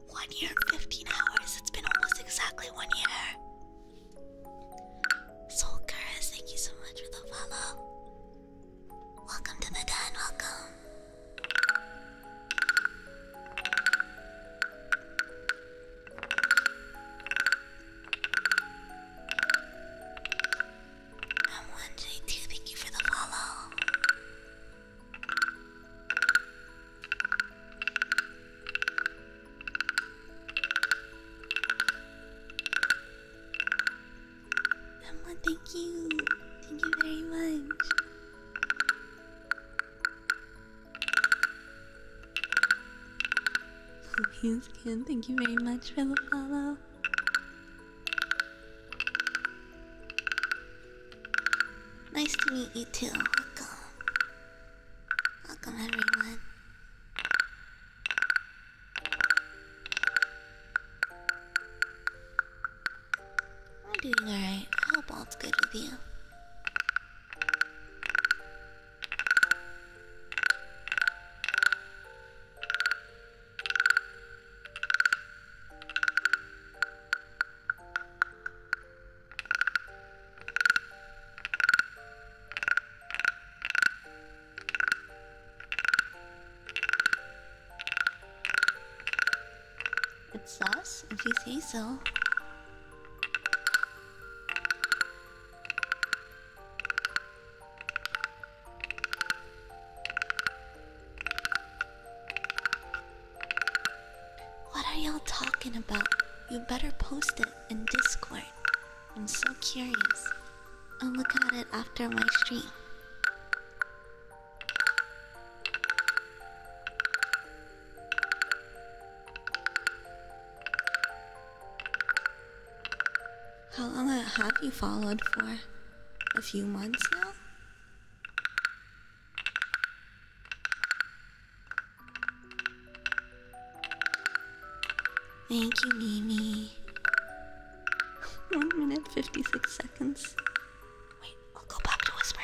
One year, fifteen hours. It's been almost exactly one year. Soul Curse, thank you so much for the follow. Welcome to the den, welcome. I'm one two, thank you for the follow. Emma, thank you. Thank you very much. Please, Ken, thank you very much for the follow. Nice to meet you too. Welcome. Welcome everyone. I'm doing alright. I hope all's good with you. Good sauce, if you What are y'all talking about? You better post it in Discord. I'm so curious. I'll look at it after my stream. How long have you followed for? A few months now? Thank you, Mimi. One minute, 56 seconds. Wait, I'll go back to whispering.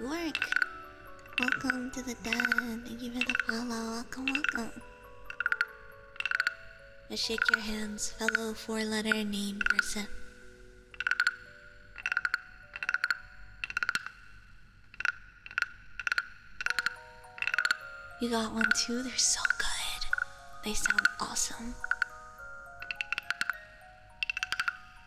Work! Welcome to the den. Thank you for the follow. Welcome, welcome. I shake your hands, fellow four letter name person. You got one too? They're so good. They sound awesome.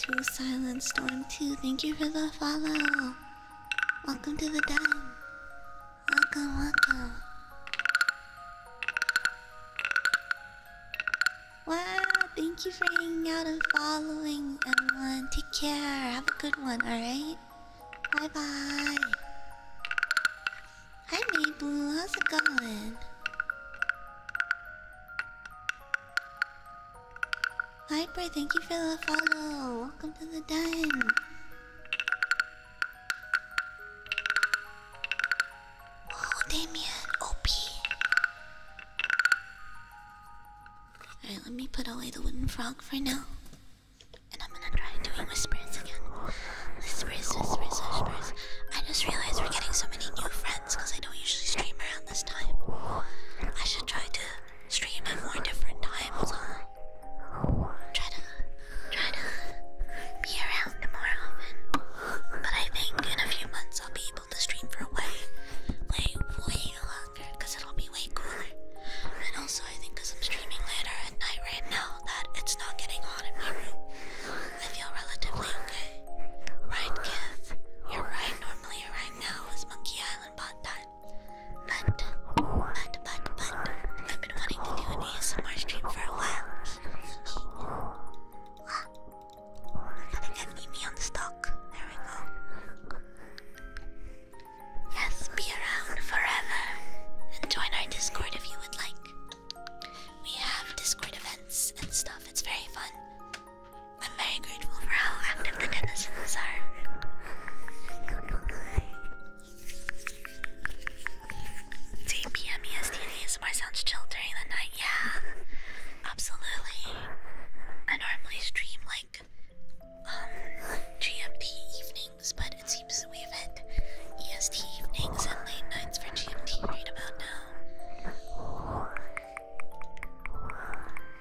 To Silent Storm 2, thank you for the follow. Welcome to the dime. Welcome, welcome. Wow, thank you for hanging out and following, everyone. Take care. Have a good one, alright? Bye bye. Hi, Mayblu. How's it going? Viper, thank you for the follow. Welcome to the den. Oh, Damien, OP. Alright, let me put away the wooden frog for now. And I'm gonna try doing whispers again. Whispers, whispers, whispers. I just realized we're getting so many new friends because I don't usually stream around this time. I should try to stream at more different times. i try to try to be around more often. But I think in a few months I'll be able to stream for way, way, way longer it'll be way cooler. And also I think I'm streaming later at night right now that it's not getting hot in my room. I feel relatively okay. Right, Kith? You're right. Normally, right now is Monkey but, but, but, but, I've been wanting to do an ASMR stream for a while. Well, I got on stock. There we go. Yes, be around forever. join our Discord if you would like. We have Discord events and stuff, it's very fun. I'm very grateful for how active the denizens are. Two PM EST ASMR sounds chill during the night. Yeah, absolutely. I normally stream like um, GMT evenings, but it seems we've had EST evenings and late nights for GMT right about now.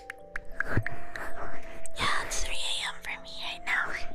Yeah, it's 3 a.m. for me right now.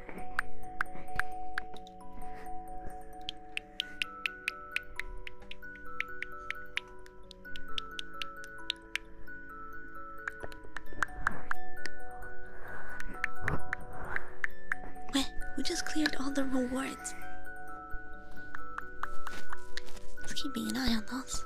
Wait, we just cleared all the rewards. let keep an eye on those.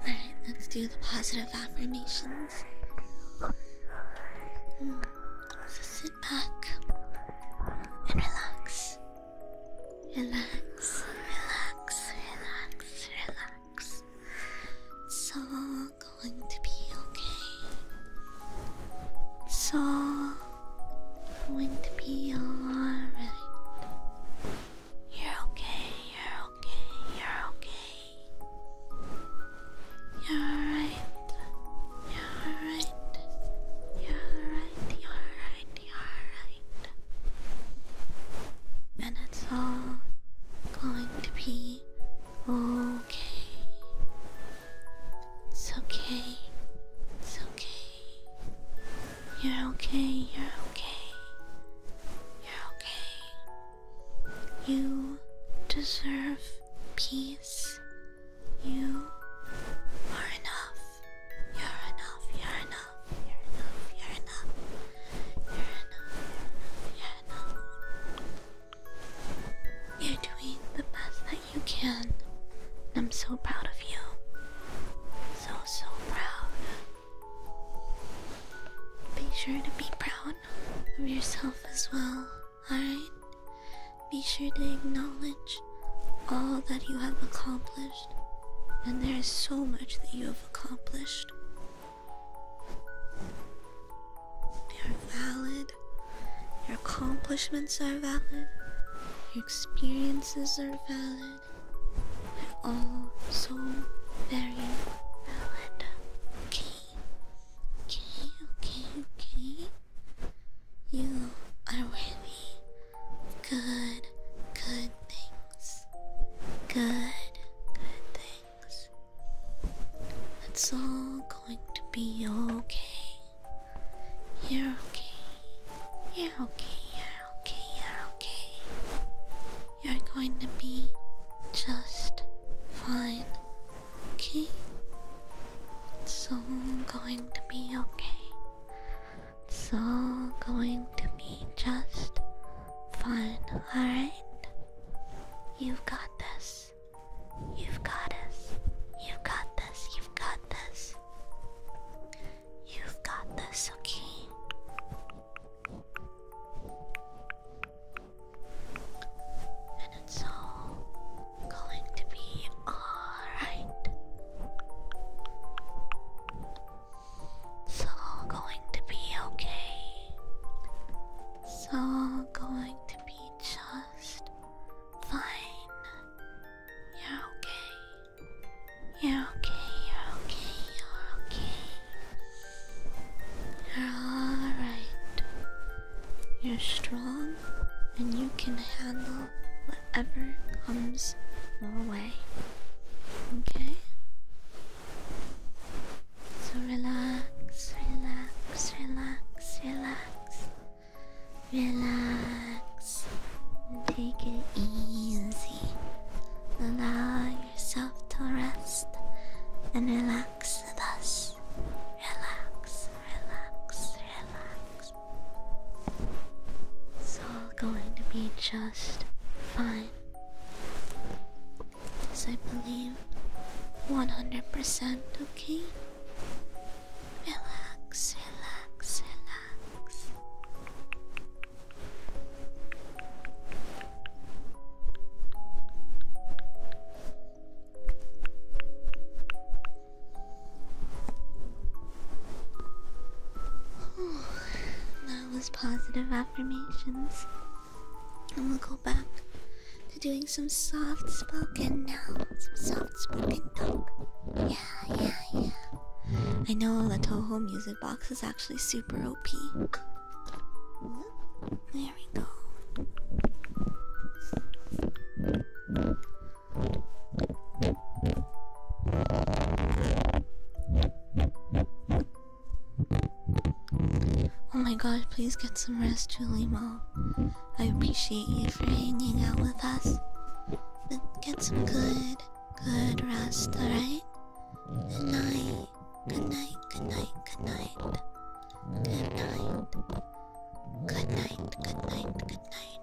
Alright, let's do the positive affirmations. Hmm, so sit back and relax. Relax, relax, relax, relax. So all going to be okay. It's all going to be alright. You're okay, you're okay, you're okay. You're alright, you're alright, you're alright, you're alright, you're alright. And it's all going to be okay. It's okay. It's okay. You're okay. You're okay. You're okay. You deserve peace. You are enough. You're enough. You're enough. You're enough. You're enough. You're enough. You're enough. You're enough. You're enough. You're doing the best that you can. I'm so proud of you. So, so proud. Be sure to be proud of yourself as well, alright? Be sure to acknowledge all that you have accomplished. And there is so much that you have accomplished. You're valid. Your accomplishments are valid. Your experiences are valid. They're all so very valid. Okay. Okay, okay, okay. You are worthy. Good, good things. Good, good things. let all going to be okay. You're okay. You're okay. You're okay. You're okay. You're going to be just fine. Okay? It's all going to be okay. It's all going to be just fine, alright? You've got this. You've got this. You've got this. You've got this. You've got this, okay? And it's all going to be alright. It's all going to be okay. It's all going to be just Fine. You're okay. You're okay, you're okay, you're okay. You're alright. You're strong and you can handle whatever comes your way. Okay? So relax, relax, relax, relax. Relax and take it easy. Allow yourself to rest and relax with Relax, relax, relax. It's all going to be just fine. Because I believe 100% okay. Relax, relax, relax. that was positive affirmations. And will go back doing some soft spoken now. Some soft spoken talk. Yeah, yeah, yeah. I know the Toho music box is actually super OP. There we go. Oh my god, please get some rest, Julie Ma. I appreciate you for hanging out with us. But get some good, good rest, alright? Good night, good night, good night. Good night. Good night, good night, good night.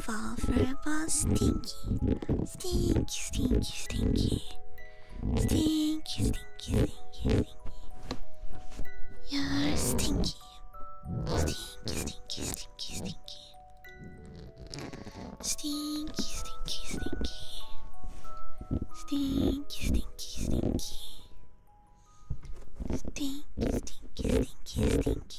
Fall for a ball, stinky, stinky, stinky, stinky, stinky, stinky, stinky, stinky. You're stinky, stinky, stinky, stinky, stinky, stinky, stinky, stinky, stinky, stinky, stinky, stinky, stinky, stinky, stinky.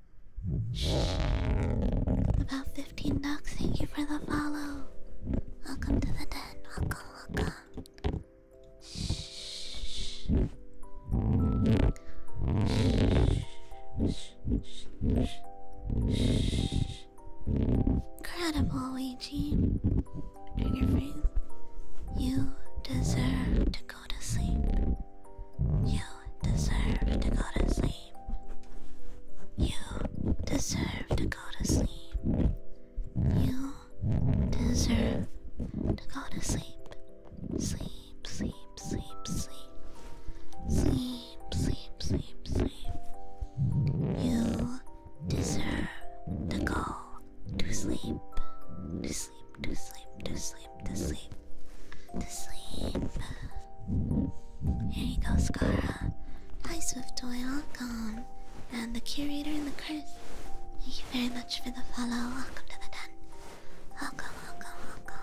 About 15 ducks, thank you for the follow. Welcome to the den. Welcome, welcome. Shh. Incredible, Ouija. In your face. You deserve to go to sleep. You deserve to go to sleep. You deserve to go to sleep. You deserve to go to sleep. Sleep, sleep, sleep, sleep. Sleep, sleep, sleep, sleep. You deserve to go to sleep. To sleep, to sleep, to sleep, to sleep. To sleep. Here you go, Skara. Hi, Swift Toy, welcome. And the curator and the curse. Thank you very much for the follow. Welcome to the den. Welcome, welcome, welcome.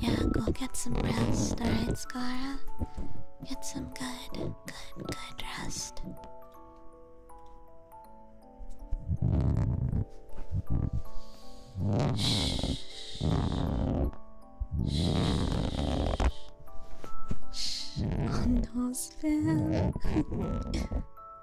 Yeah, go get some rest, alright, Skara? Get some good, good, good rest. Shh. Shh. Shh. On those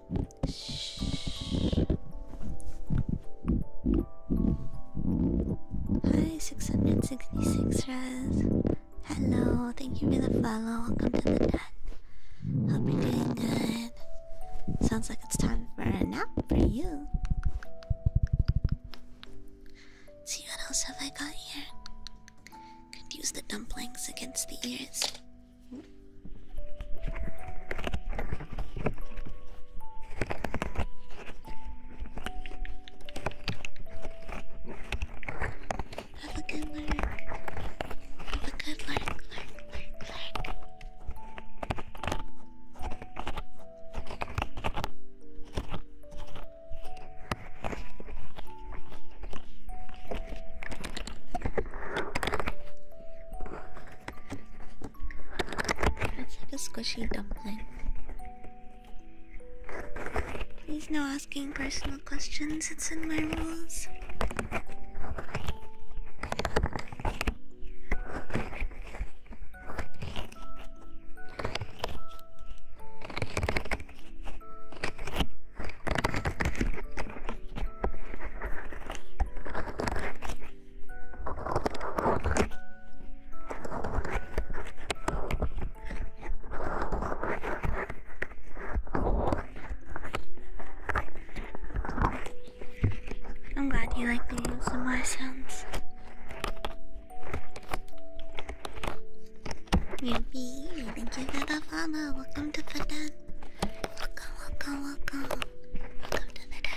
Hi, 666 Hello, thank you for the follow. Welcome to the chat. Hope you're doing good. Sounds like it's time for a nap for you. See what else have I got here? Could use the dumplings against the ears. Have a good lurk. Have a good lurk, lurk, lurk, lurk. It's like a squishy dumpling. Please, no asking personal questions, it's in my rules. I'm glad you like the ASMR sounds. Ruby, thank you for the follow. Welcome to the den. Welcome, welcome, welcome. Welcome to the den.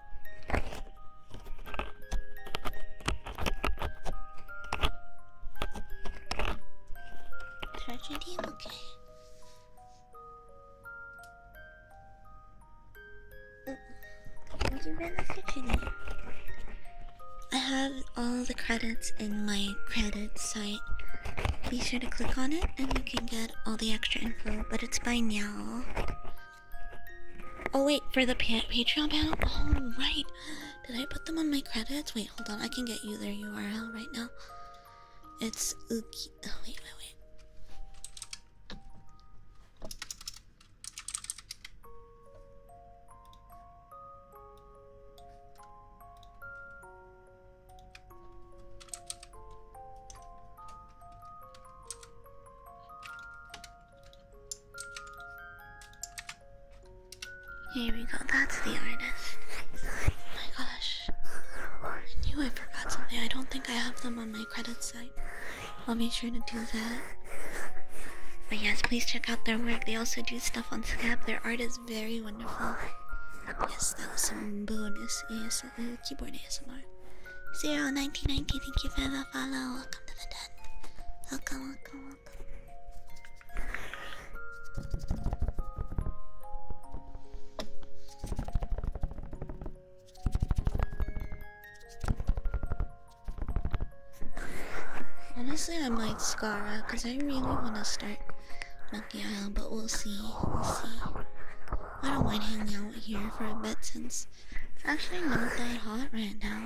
Tragedy, okay. I have all the credits in my credits site. Be sure to click on it and you can get all the extra info, but it's by now. Oh wait, for the Patreon panel. Oh right, did I put them on my credits? Wait, hold on. I can get you their URL right now. It's Uki. Oh wait, wait, wait. Here we go, that's the artist. my gosh. I knew I forgot something. I don't think I have them on my credit site. I'll make sure to do that. But yes, please check out their work. They also do stuff on Scap. Their art is very wonderful. Yes, that was some bonus ASL, uh, keyboard ASMR. Zero nineteen ninety, thank you for the follow. Welcome to the Honestly, I might Skara because I really want to start Monkey Island, but we'll see. We'll see. I don't mind hanging out here for a bit since it's actually not that hot right now.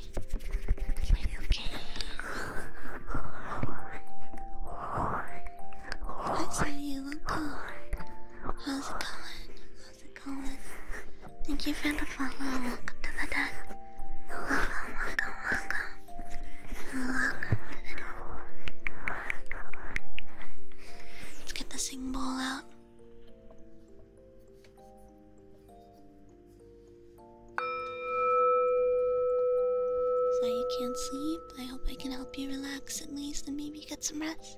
okay. That's you look How's it going? How's it going? Thank you for the follow. Welcome to the dot. Welcome, welcome, welcome. Welcome Let's get the sing bowl out. So you can't sleep? I hope I can help you relax at least and maybe get some rest.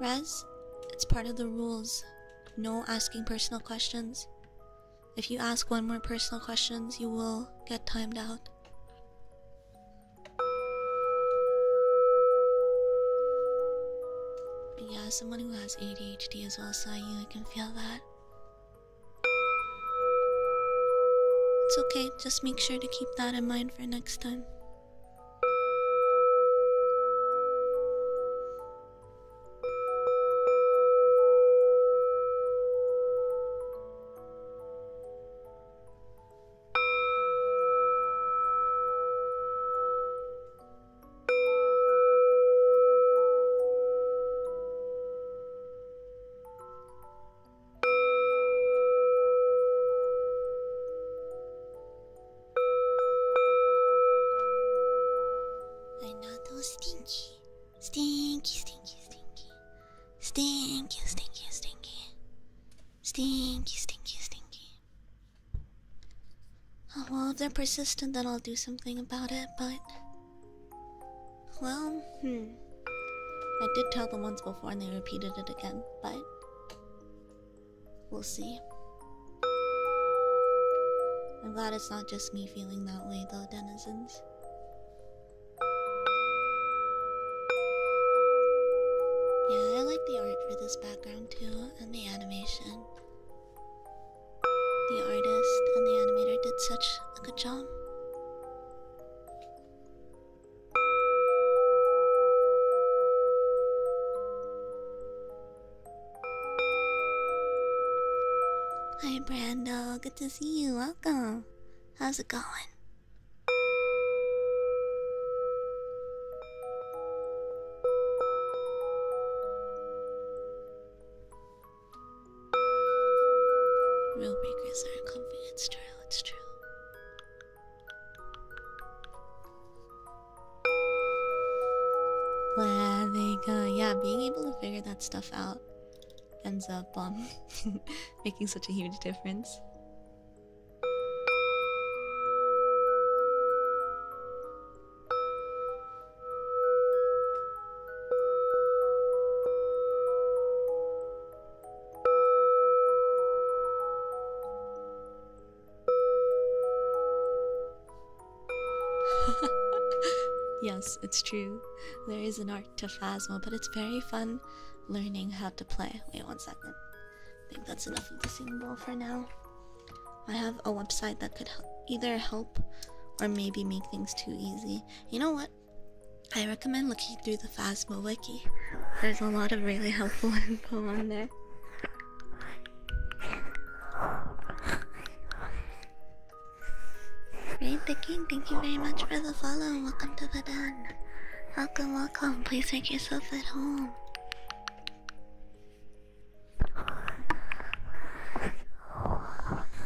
Res, it's part of the rules. No asking personal questions. If you ask one more personal questions, you will get timed out. yeah, someone who has ADHD as well, so you, I can feel that. It's okay, just make sure to keep that in mind for next time. I'm not all stinky. Stinky, stinky, stinky. Stinky, stinky, stinky. Stinky, stinky, stinky. I love they're persistent that I'll do something about it, but well, hmm. I did tell them once before and they repeated it again, but we'll see. I'm glad it's not just me feeling that way, though, denizens. Yeah, I like the art for this background too, and the animation. The artist and the animator did such a good job. Hi, Brando. Good to see you. Welcome. How's it going? Real breakers are a confidence trial, it's true. Where they go. Yeah, being able to figure that stuff out ends up um, making such a huge difference. yes, it's true. There is an art to Phasma, but it's very fun learning how to play. Wait one second. I think that's enough of the singing bowl for now. I have a website that could either help or maybe make things too easy. You know what? I recommend looking through the Phasma wiki. There's a lot of really helpful info on there. Great, the King, thank you very much for the follow and welcome to the den. Welcome, welcome. Please make yourself at home.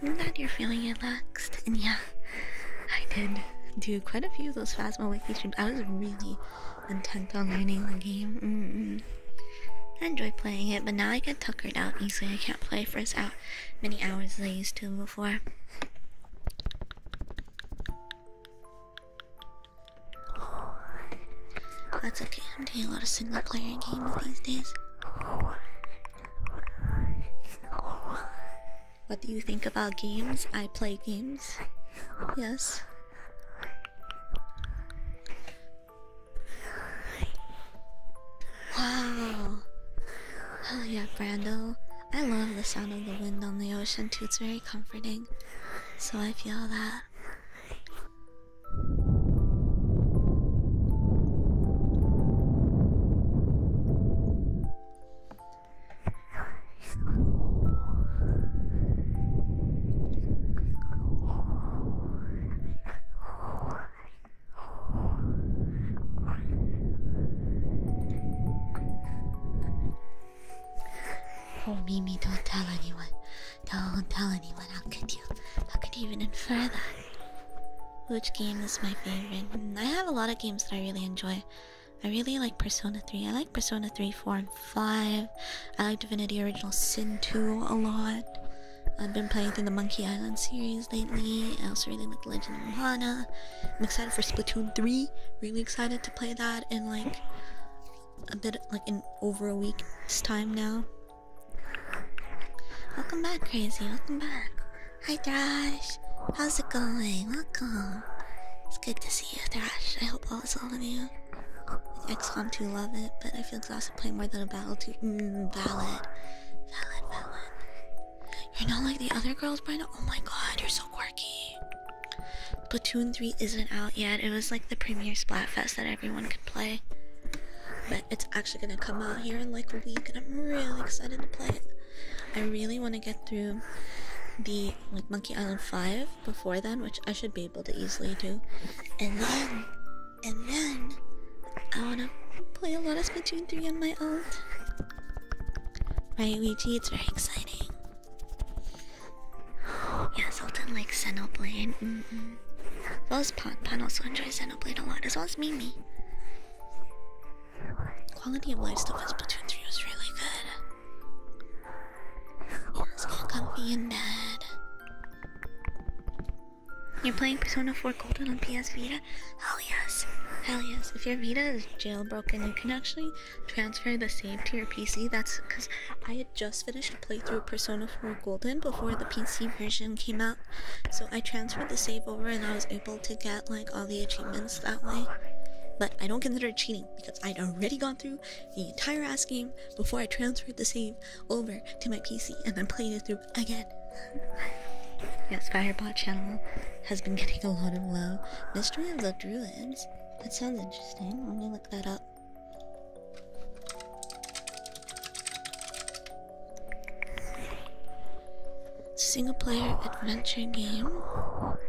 I'm glad you're feeling relaxed, and yeah, I did do quite a few of those Phasma Wiki streams. I was really intent on learning the game. I enjoy playing it, but now I get tuckered out easily. I can't play for as out many hours as I used to before. Oh, that's okay. I'm doing a lot of single player games these days. What do you think about games? I play games. Yes. Wow. Oh yeah, Brando. I love the sound of the wind on the ocean too. It's very comforting. So I feel that. Oh, Mimi, don't tell anyone. Don't tell anyone. How could you? How could you even infer that? Which game is my favorite? I have a lot of games that I really enjoy. I really like Persona 3. I like Persona 3, 4, and 5. I like Divinity Original Sin 2 a lot. I've been playing through the Monkey Island series lately. I also really like Legend of Moana. I'm excited for Splatoon 3. Really excited to play that in like a bit like in over a week's time now. Welcome back, Crazy. Welcome back. Hi Thrash. How's it going? Welcome. It's good to see you, Thrash. I hope all is well with you. Like XCOM 2 love it, but I feel exhausted playing more than a battle to mm, valid. You're not like the other girls, Brenda. Oh my god, you're so quirky. Platoon 3 isn't out yet. It was like the premier Splatfest that everyone could play. But it's actually gonna come out here in like a week, and I'm really excited to play it. I really want to get through the like Monkey Island 5 before then, which I should be able to easily do. And then and then I wanna play a lot of Splatoon 3 on my own. my Luigi? It's very exciting. Yeah, Sultan likes Xenoblade. Mm -mm. As well as Pan. Pan also enjoys Xenoblade a lot, as well as Mimi. Quality of life stuff in Splatoon 3 was really good. It comfy in bed. You're playing Persona 4 Golden on PS Vita? Hell yes. Hell yes. If your Vita is jailbroken, you can actually transfer the save to your PC. That's because I had just finished a playthrough Persona 4 Golden before the PC version came out. So I transferred the save over and I was able to get like all the achievements that way. But I don't consider it cheating because I'd already gone through the entire ass game before I transferred the save over to my PC and then played it through again. yes, Firebot channel has been getting a lot of love. Mystery of the Druids. That sounds interesting. Let me look that up. Single player adventure game.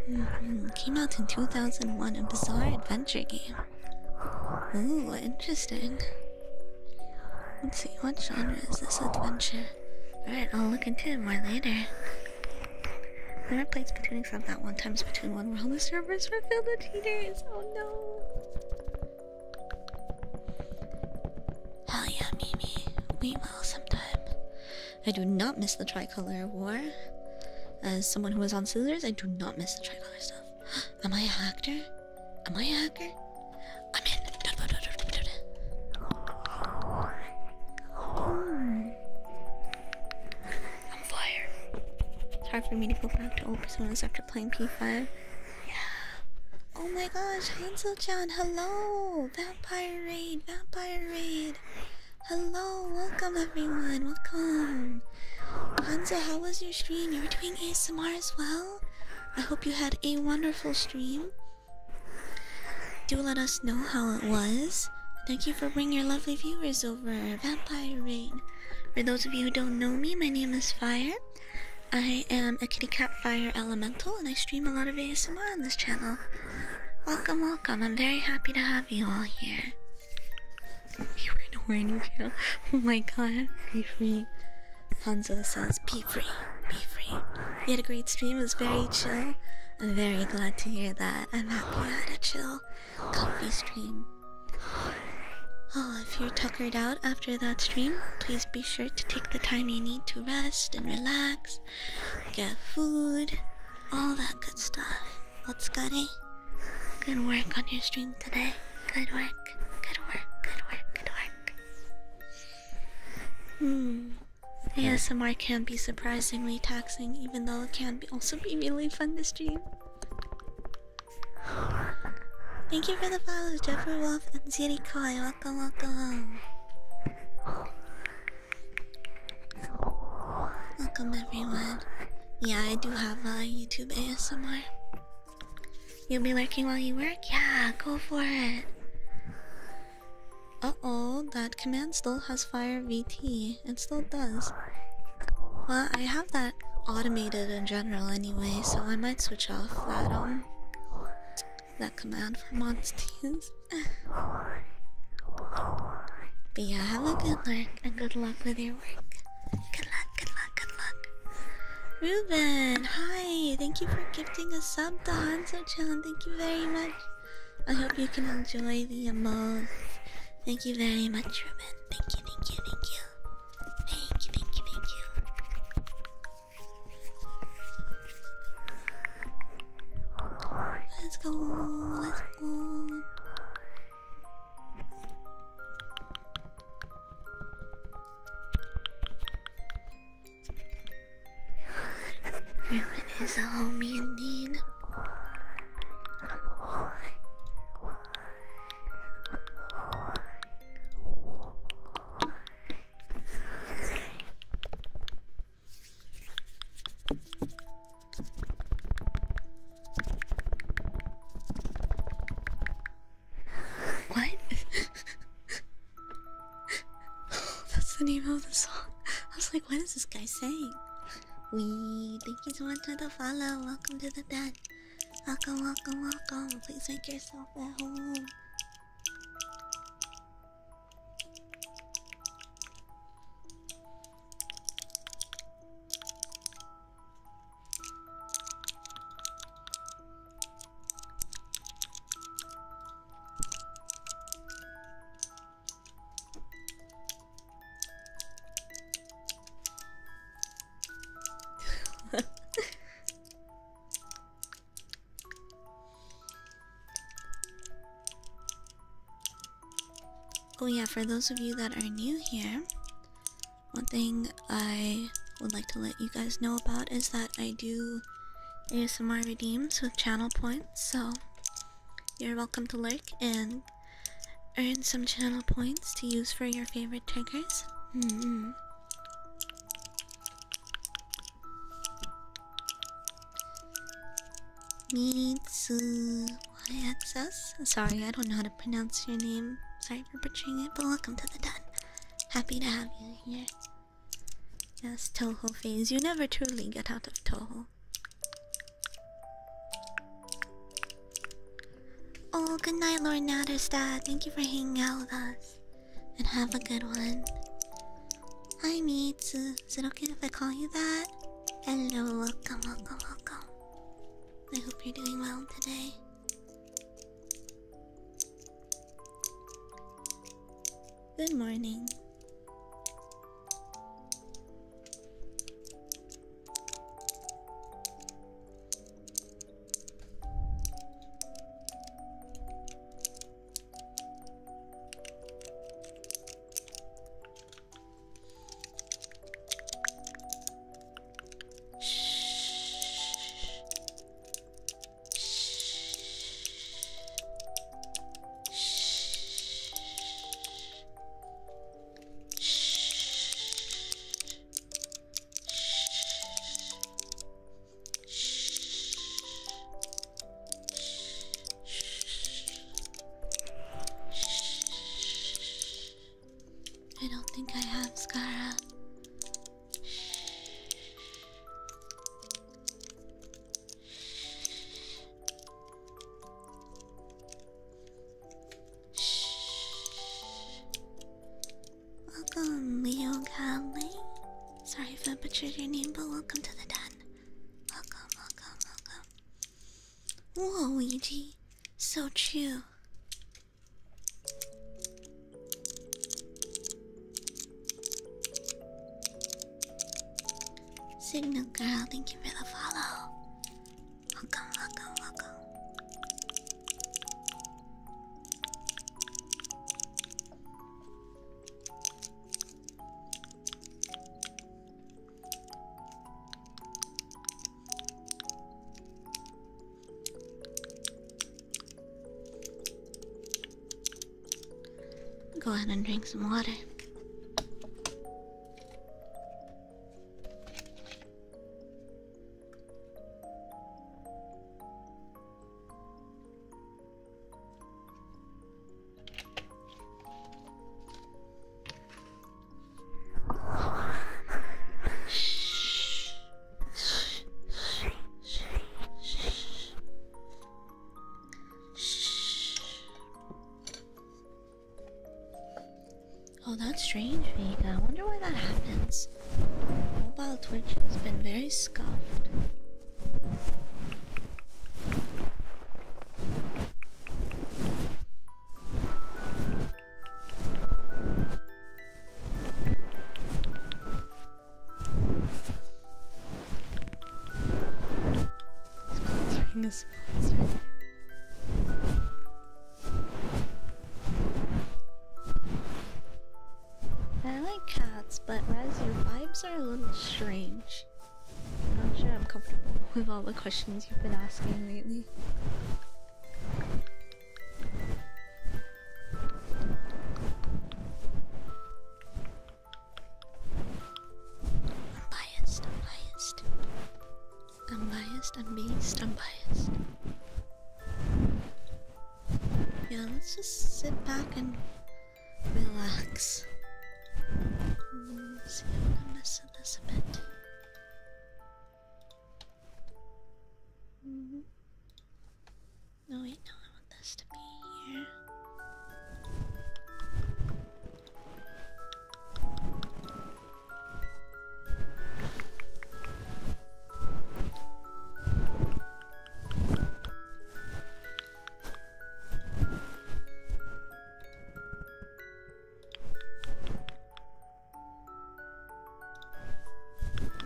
Mm-hmm. Came out in 2001, a bizarre adventure game. Ooh, interesting. Let's see, what genre is this adventure? Alright, I'll look into it more later. Never played Splatoon except that one time Splatoon 1 where the servers were filled with cheaters. Oh no. Hell yeah, Mimi. We will sometime. I do not miss the tricolor war. As someone who was on scissors, I do not miss the tricolor stuff. Am I a hacker? Am I a hacker? I'm in. I'm fired. It's hard for me to go back to old personas after playing P5. Yeah. Oh my gosh, hansel John, hello! Vampire Raid, Vampire Raid! Hello, welcome everyone, welcome! Hanzo, how was your stream? You were doing ASMR as well? I hope you had a wonderful stream. Do let us know how it was. Thank you for bringing your lovely viewers over. Vampire Rain. For those of you who don't know me, my name is Fire. I am a kitty cat fire elemental and I stream a lot of ASMR on this channel. Welcome, welcome. I'm very happy to have you all here. You were nowhere near. Oh my god, free free. Hanzo says, be free, be free. We had a great stream, it was very chill. I'm very glad to hear that. I'm happy I had a chill, comfy stream. Oh, if you're tuckered out after that stream, please be sure to take the time you need to rest and relax, get food, all that good stuff. What's good, eh? Good work on your stream today. Good work, good work, good work, good work. Hmm. ASMR can be surprisingly taxing, even though it can also be really fun to stream. Thank you for the follow, Jeffrey Wolf and Ziri Koi. Welcome, welcome. Welcome, everyone. Yeah, I do have uh, a YouTube ASMR. You'll be working while you work? Yeah, go for it. Uh oh, that command still has fire VT. It still does. Well, I have that automated in general anyway, so I might switch off that um that command for monsters. but yeah, have a good work and good luck with your work. Good luck, good luck good luck. Ruben, hi. Thank you for gifting a sub to Hanzo-chan. Thank you very much. I hope you can enjoy the emotes. Thank you very much, Ruben. Thank you, thank you, thank you. Thank you, thank you, thank you. Let's go, let's go. Everyone is a homie indeed. What? That's the name of the song. I was like, what is this guy saying? We thank you so much for the follow. Welcome to the den. Welcome, welcome, welcome. Please make yourself at home oh yeah, for those of you that are new here, one thing I would like to let you guys know about is that I do ASMR redeems with channel points, so you're welcome to lurk and earn some channel points to use for your favorite triggers. Mm -hmm. Mitsu access. Sorry, I don't know how to pronounce your name. Sorry for butchering it, but welcome to the den. Happy to have you here. Yes, Toho fans, You never truly get out of Toho. Oh, good night, Lord Natterstad. Thank you for hanging out with us. And have a good one. Hi, Mitsu. Is it okay if I call you that? Hello, welcome, welcome, welcome. I hope you're doing well today. Good morning. Shh. I don't think I have Scara. Welcome, Leo Calway. Sorry if I butchered your name, but welcome to the den. Welcome, welcome, welcome. Whoa, Ouija. So true. Signal girl, thank you for the follow. Welcome, welcome, welcome. Go ahead and drink some water. Oh, that's strange, Vega. I wonder why that happens. Mobile Twitch has been very scuffed. I like cats, but Rez, your vibes are a little strange. I'm not sure I'm comfortable with all the questions you've been asking lately. I'm biased, I'm biased. I'm biased, I'm biased, I'm biased. Yeah, let's just sit back and relax. Let's mm, see if I can mess up this a bit. -hmm. No, wait, no, I want this to be here.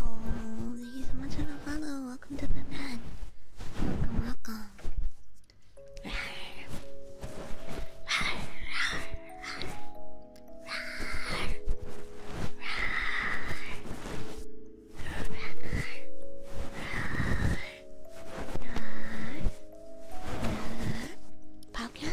Oh, thank you so much for Welcome to the man. Welcome, welcome. Popcorn?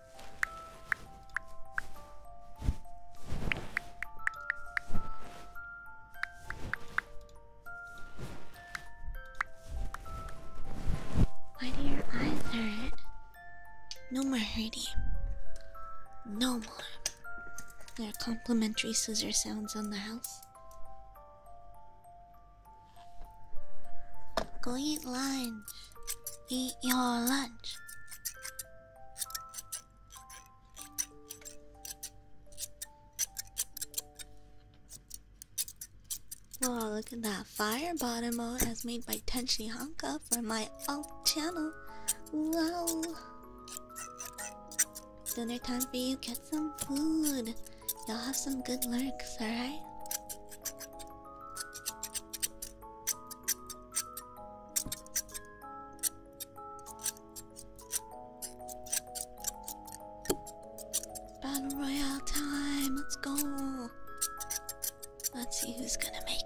Why do your eyes hurt? No more hurting. No more. There are complimentary scissor sounds on the house. Go eat lunch. Eat your lunch. Wow, look at that fire bottom mode as made by Tenshi Honka for my alt channel. Wow. Dinner time for you, get some food. Y'all have some good lurks, alright? Battle Royale time, let's go. Let's see who's gonna make it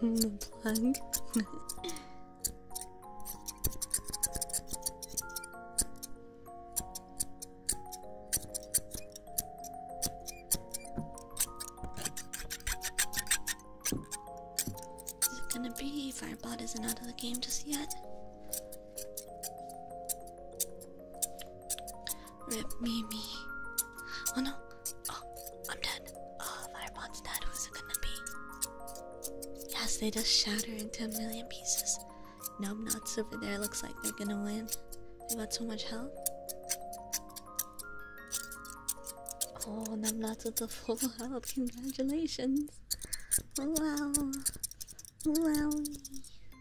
the plug. Is it gonna be Firebot isn't out of the game just yet? Rip me, me! Oh no. Oh, I'm done. Oh, Firebot's dead. Who's it gonna be? Yes, they just shatter into a million pieces. Numb nuts over there looks like they're gonna win. They got so much help. Oh, numb nuts with the full health. Congratulations. Wow. Wow! I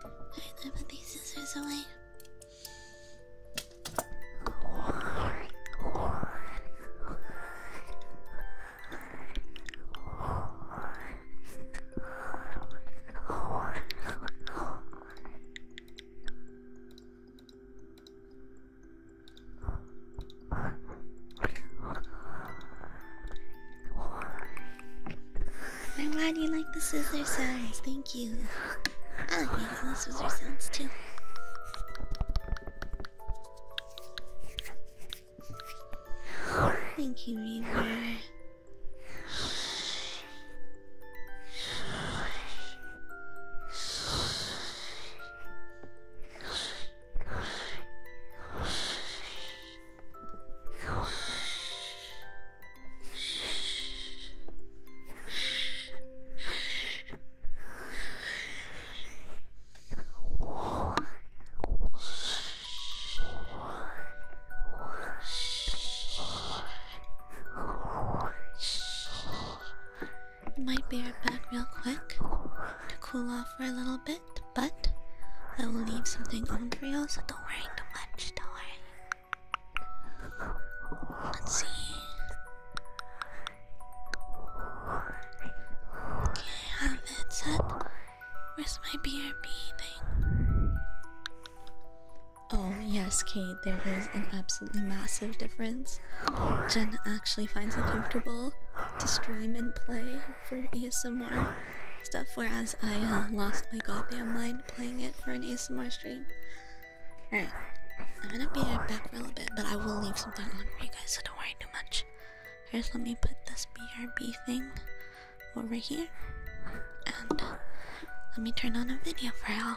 Alright, I put these scissors away. I'm glad you like the scissor sounds. Thank you. I like making the scissor sounds too. Thank you, Reaver. Might bear it back real quick to cool off for a little bit, but I will leave something on for you, so don't worry too much. Don't worry. Let's see. I have it set. Where's my BRB thing? Oh, yes, Kate, there is an absolutely massive difference. Jenna actually finds it comfortable to stream and play for ASMR stuff, whereas I uh, lost my goddamn mind playing it for an ASMR stream. Alright, I'm gonna be right back for a little bit, but I will leave something on for you guys, so don't worry too much. First, let me put this BRB thing over here, and let me turn on a video for y'all.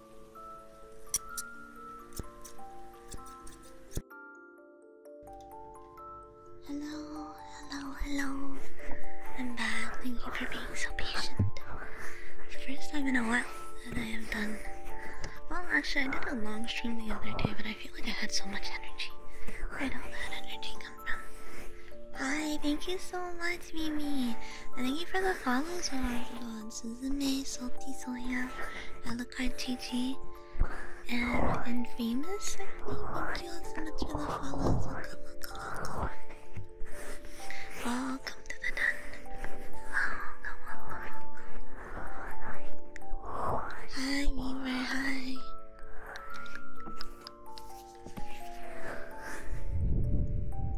Hello, hello, hello. I'm back. Thank you for being so patient. It's the first time in a while that I have done. Well, actually, I did a long stream the other day, but I feel like I had so much energy. Where'd all that energy come from? Hi, thank you so much, Mimi. And thank you for the follows, Lord. Suzume, Salty Soya, Alucard and, and Famous, Thank you all so much for the follows. Welcome, welcome, welcome. to the den. Welcome, welcome, Hi, hi.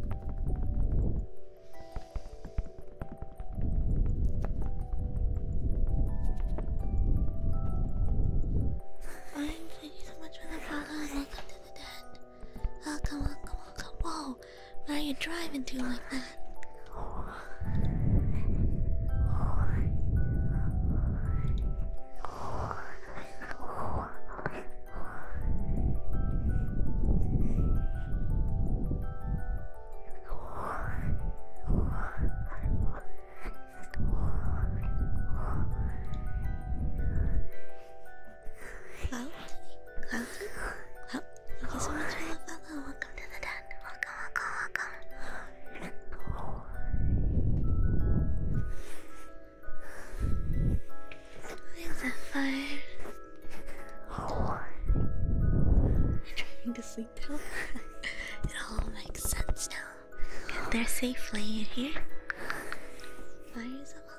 Alright, thank you so much for the follow and welcome to the den. Welcome, welcome, welcome. Whoa, where are you driving to like Hello? Hello? Thank you so much for the Welcome to the den. Welcome, welcome, welcome. Where's that fire? trying to sleep now. it all makes sense now. Get there safely, you hear? Fires of all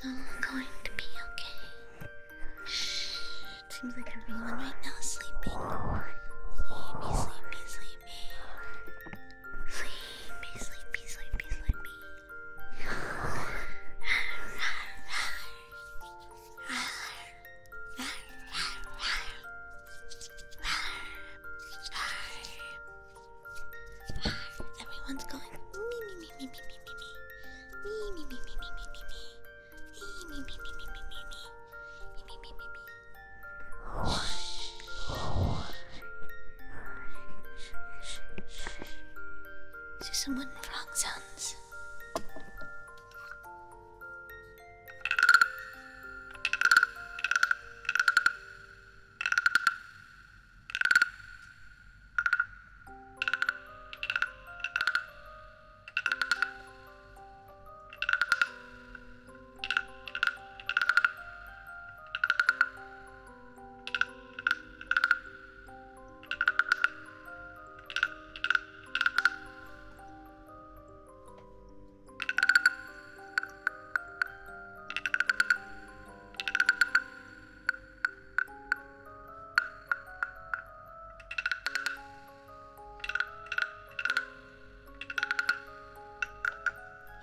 So i going to be okay. Seems like everyone right now is sleeping. Sleepy, sleepy, sleepy. Sleepy, sleepy, sleepy, sleepy. Everyone's going me, me, me, me, me, me, me. Me, me, me, me, me, me, me, me. Me, me, me, me, me, me, me, me. Me, me, me, me, me. Shh. Is someone wrong sounds?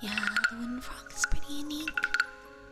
Yeah, the wooden frog is pretty unique.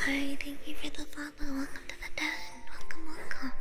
Hi, thank you for the follow. Mama, welcome to the den. Welcome, welcome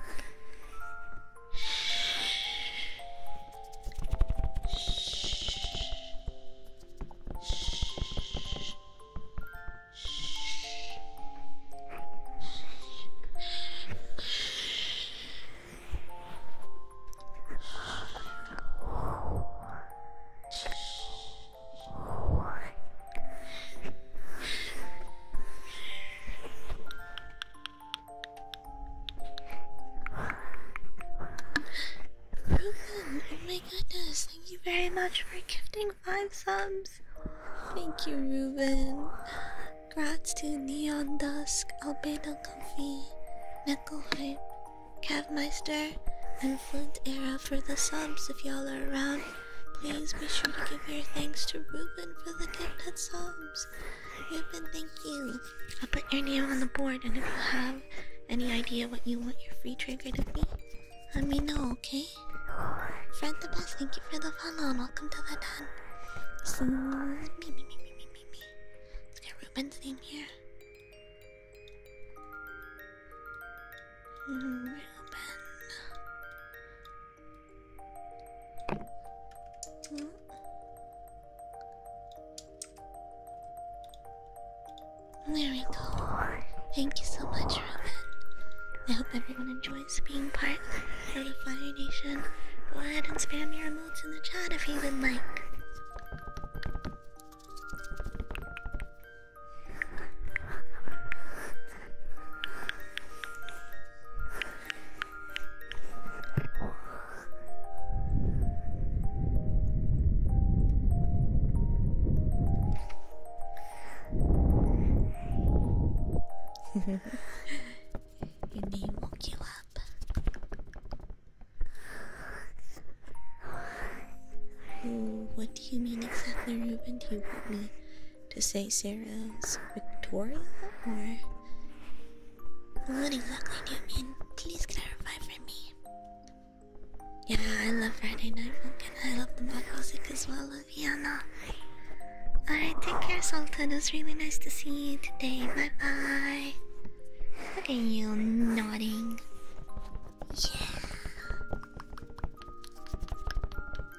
oh my goodness, thank you very much for gifting five subs. Thank you, Ruben. Grats to Neon Dusk, Albedo Comfy, Hype, Cavmeister, and Flint Era for the subs if y'all are around. Please be sure to give your thanks to Ruben for the gifted subs. Ruben, thank you. I'll put your name on the board, and if you have any idea what you want your free trigger to be, let me know, okay? Fred the best, thank you for the follow, and welcome to the den. So, Let's get Ruben's name here. Hmm, Ruben. There we go. Thank you so much, Robin. I hope everyone enjoys being part of the Fire Nation. Go ahead and spam your emojis in the chat if you would like. Your name woke you up. Oh, what do you mean exactly, Ruben? Do you want me to say Sarah's Victoria or what exactly do you mean? Please clarify for me. Yeah, I love Friday Night Funkin'. I love the mod music as well, Luviana. Alright, take care, Sultan. It was really nice to see you today. Bye bye. Look at you nodding. Yeah.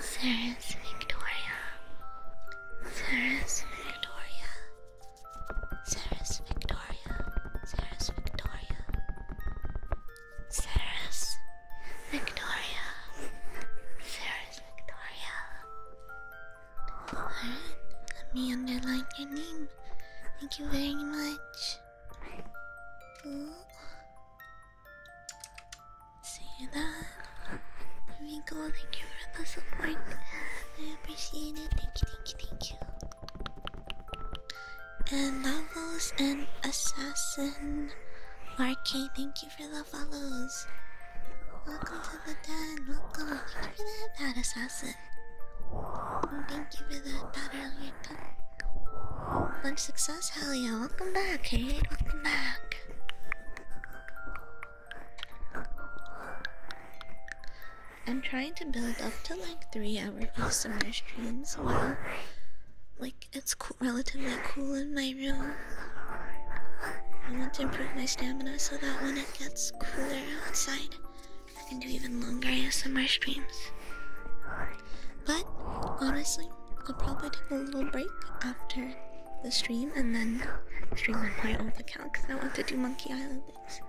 Sarah's Victoria. Sarah's Victoria. Sarah's Victoria. Sarah's Victoria. Sarah's Victoria. Sarah's Victoria. Victoria. Alright, let me underline your name. Thank you very much. See that? There we go. Thank you for the support. I appreciate it. Thank you, thank you, thank you. And novels and assassin. Marquee, thank you for the follows. Welcome to the den. Welcome. Thank you for that bad assassin. Thank you for that battery done. success, hell Welcome back, Kate. Welcome back. I'm trying to build up to like three hour ASMR streams while like it's co relatively cool in my room. I want to improve my stamina so that when it gets cooler outside, I can do even longer ASMR streams. But honestly, I'll probably take a little break after the stream and then stream on my old account because I want to do Monkey Island things.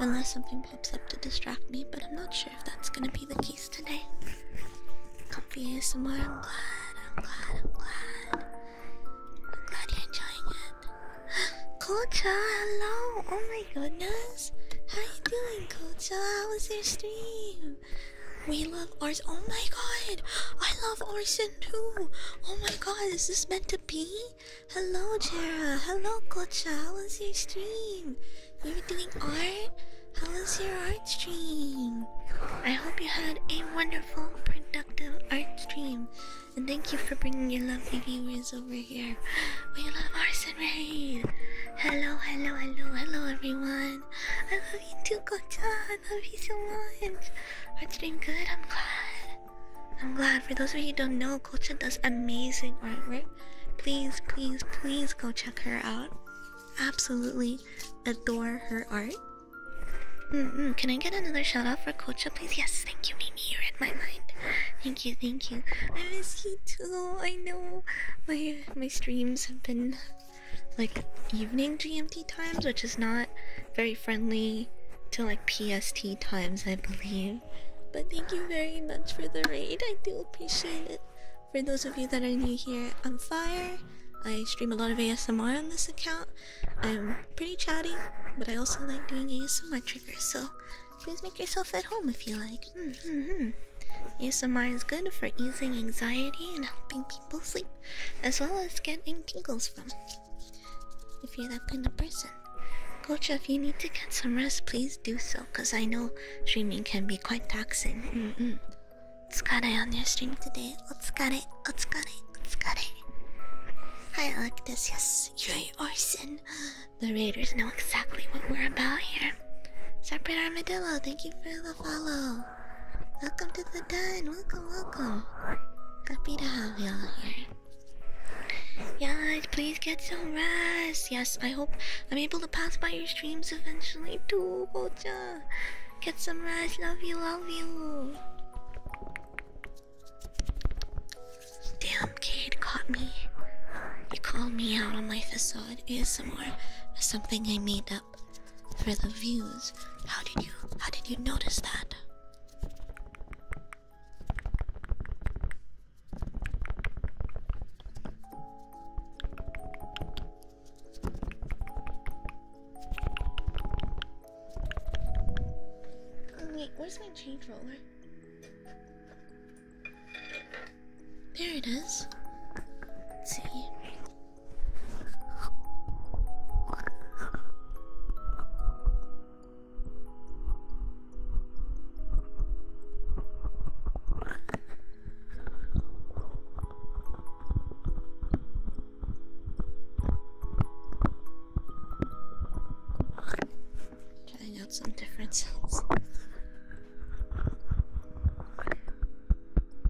Unless something pops up to distract me, but I'm not sure if that's gonna be the case today. here somewhere. I'm glad, I'm glad, I'm glad. I'm glad you're enjoying it. Kocha, hello! Oh my goodness! How you doing, Kocha? How was your stream? We love ours. Oh my god! I love Orson too! Oh my god, is this meant to be? Hello, Jera. Hello, Kocha. How was your stream? You are doing art? How was your art stream? I hope you had a wonderful, productive art stream. And thank you for bringing your lovely viewers over here. We love Arson Raid! Hello, hello, hello, hello everyone! I love you too, Kocha. I love you so much. It's been good. I'm glad. I'm glad. For those of you who don't know, Kocha does amazing artwork. Please, please, please go check her out. Absolutely adore her art. Mm, mm. Can I get another shout out for Kocha, please? Yes, thank you, Mimi. You are in my mind. Thank you, thank you. I miss you too. I know my my streams have been like evening GMT times, which is not very friendly to like PST times, I believe. But thank you very much for the raid. I do appreciate it. For those of you that are new here, I'm Fire. I stream a lot of ASMR on this account. I'm pretty chatty, but I also like doing ASMR triggers, so please make yourself at home if you like like, mm hmm, hmm. ASMR hmm. is good for easing anxiety and helping people sleep, as well as getting tingles from. If you're that kind of person, Coach, if you need to get some rest, please do so, because I know streaming can be quite taxing. Mm -mm. Otsukare on your stream today. Otsukare, otsukare, otsukare. Hi, Electus. Yes, you're Orson. The raiders know exactly what we're about here. Separate Armadillo, thank you for the follow. Welcome to the den. Welcome, welcome. Happy to have you all here. Yes, please get some rest. Yes, I hope I'm able to pass by your streams eventually too, Gocha. Get some rest. Love you, love you. Damn, Cade caught me. You called me out on my facade ASMR. Something I made for the views. How did you how did you notice that? Wait, where's my change roller? There it see. Trying out some different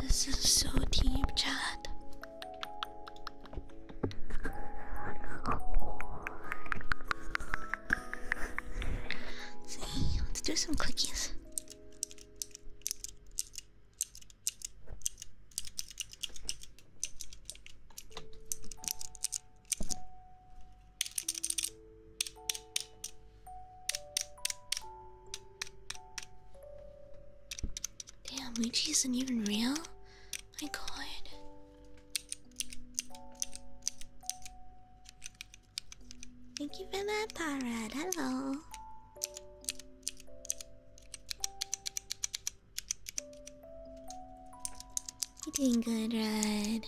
This is so deep, chat. See, let's do some cookies. Damn, Luigi isn't even real? My god. Thank you for that, Parrot. Hello. You're doing good, Red.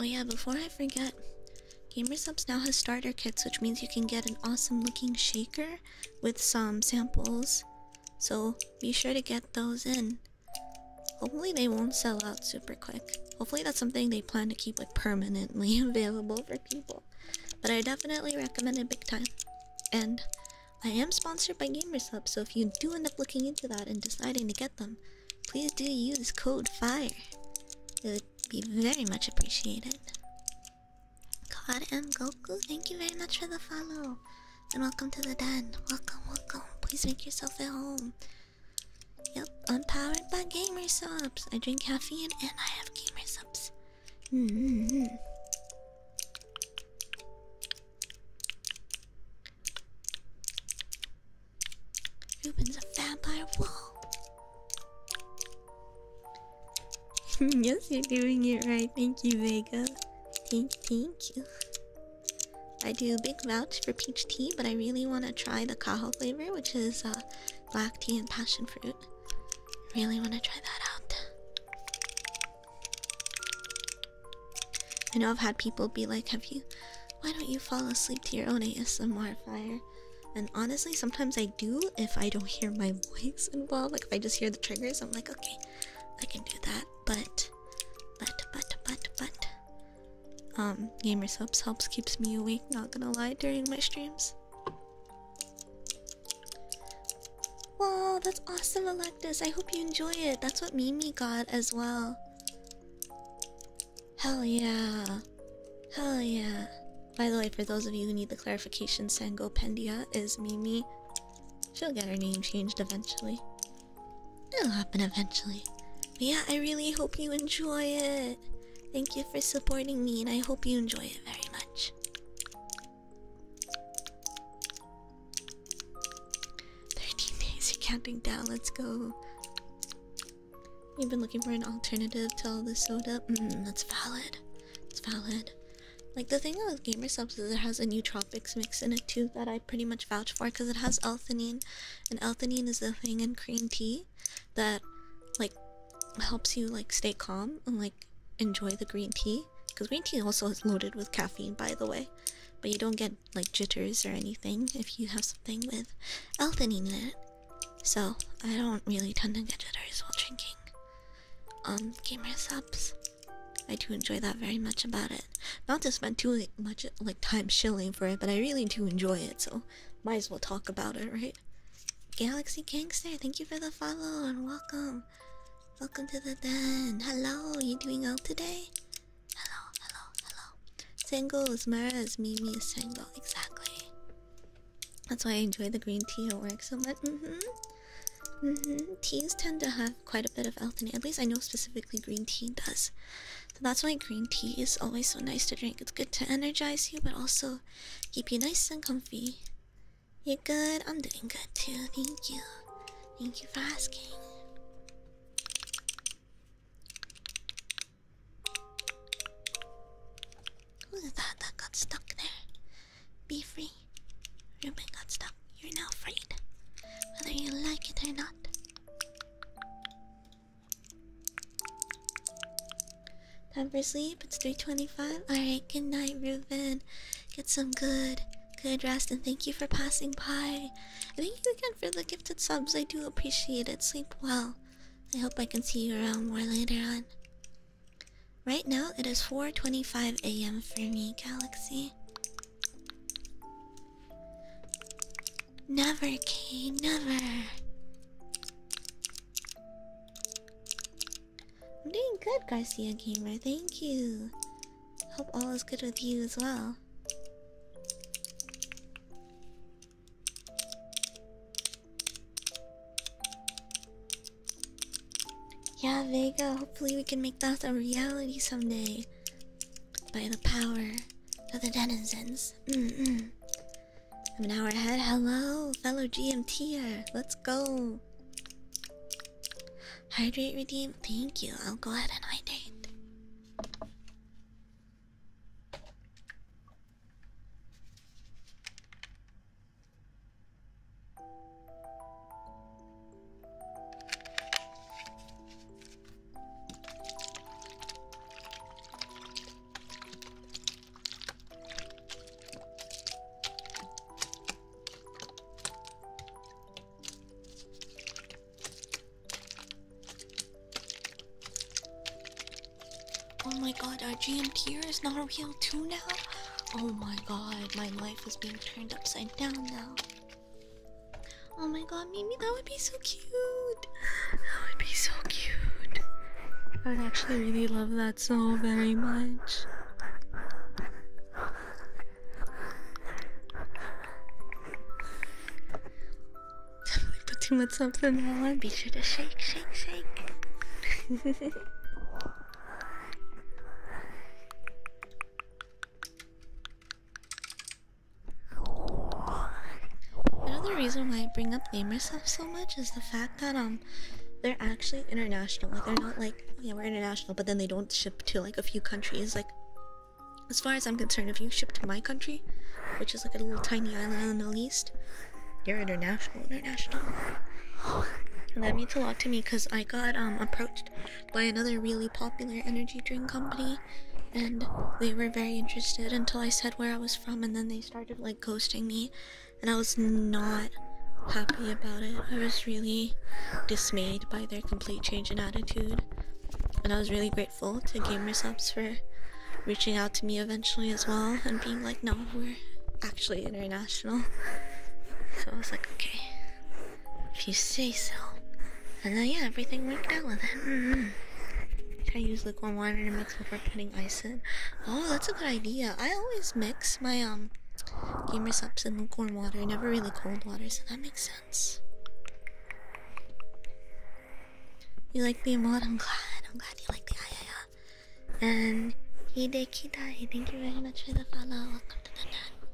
Oh yeah, before I forget, Gamersubs now has starter kits, which means you can get an awesome looking shaker with some samples. So be sure to get those in. Hopefully they won't sell out super quick. Hopefully that's something they plan to keep like permanently available for people. But I definitely recommend it big time. And I am sponsored by Gamersubs. so if you do end up looking into that and deciding to get them, please do use code FIRE. It would be very much appreciated. God M. Goku, thank you very much for the follow. And welcome to the den. Welcome, welcome. Please make yourself at home. Yep, I'm powered by Gamersubs. I drink caffeine and I have Gamersubs subs. -hmm. Ruben's a vampire wall. yes, you're doing it right. Thank you, Vega. Thank, thank you. I do a big vouch for peach tea, but I really want to try the Cajo flavor, which is uh, black tea and passion fruit. Really want to try that out. I know I've had people be like, Have you? Why don't you fall asleep to your own ASMR fire? And honestly, sometimes I do if I don't hear my voice involved. Like, if I just hear the triggers, I'm like, Okay, I can do that. But, but, but, but, but. Um, Gamer Subs helps keeps me awake, not gonna lie, during my streams. Wow, that's awesome, Electus. I hope you enjoy it. That's what Mimi got as well. Hell yeah. Hell yeah. By the way, for those of you who need the clarification, Sango Pendia is Mimi. She'll get her name changed eventually. It'll happen eventually. yeah, I really hope you enjoy it thank you for supporting me, and I hope you enjoy it very much. Thirteen days, you're counting down. Let's go. You've been looking for an alternative to all this soda. Mm-hmm, that's valid. It's valid. Like the thing with gamer subs is it has a nootropics mix in it too that I pretty much vouch for because it has L-theanine, and L-theanine is the thing in green tea that like helps you like stay calm and like enjoy the green tea because green tea also is loaded with caffeine by the way but you don't get like jitters or anything if you have something with L-theanine in it so I don't really tend to get jitters while drinking um gamer subs I do enjoy that very much about it not to spend too much like time shilling for it but I really do enjoy it so might as well talk about it right Galaxy Gangster, thank you for the follow and welcome. Welcome to the den. Hello, you doing out today? Hello, hello, hello. Singles, Mara's, Mimi is single, exactly. That's why I enjoy the green tea at work so much. Mm-hmm. Mm-hmm. Teas tend to have quite a bit of L-theanine. At least I know specifically green tea does. So that's why green tea is always so nice to drink. It's good to energize you, but also Keep you nice and comfy. You're good. I'm doing good too. Thank you. Thank you for asking. Look at that. That got stuck there. Be free. Ruben got stuck. You're now freed. Whether you like it or not. Time for sleep. It's 3:25. All right. Good night, Reuben. Get some good, good rest, and thank you for passing by. And thank you again for the gifted subs. I do appreciate it. Sleep well. I hope I can see you around more later on. Right now, it is 4:25 a.m. for me, Galaxy. Never, K. Never. I'm doing good, Garcia Gamer. Thank you. Hope all is good with you as well. Yeah, Vega, hopefully we can make that a reality someday. By the power of the denizens. Mm -mm. I'm an hour ahead. Hello, fellow GMTer. Let's go. Hydrate, redeem. Thank you. I'll go ahead and hydrate. Oh my god, our tier is not real too now? Oh my god, my life is being turned upside down now. Oh my god, Mimi, that would be so cute. That would be so cute. I would actually really love that. That's all very much. Definitely put too much up in that one. Be shake, shake, shake. Another reason why I bring up gamer stuff so much is the fact that um um, they're actually international. Like they're not like yeah, we're international, but then they don't ship to like a few countries. Like as far as I'm concerned, if you ship to my country, which is like a little tiny island in the Middle East, you're international, international. that means a lot to me because I got um, approached by another really popular energy drink company and they were very interested until I said where I was from and then they started like ghosting me and I was not happy about it. I was really dismayed by their complete change in attitude, and I was really grateful to Gamersubs for reaching out to me eventually as well and being like, no, we're actually international. So I was like, okay, if you say so. And then, yeah, everything worked out with it. Mm -hmm. I use lukewarm water to mix before putting ice in. Oh, that's a good idea. I always mix my um gamer subs in lukewarm water, never really cold water, so that makes sense. You like the mod? I'm glad. I'm glad you like the IAF. And Hidekidai, thank you very much for the follow. Welcome to the net.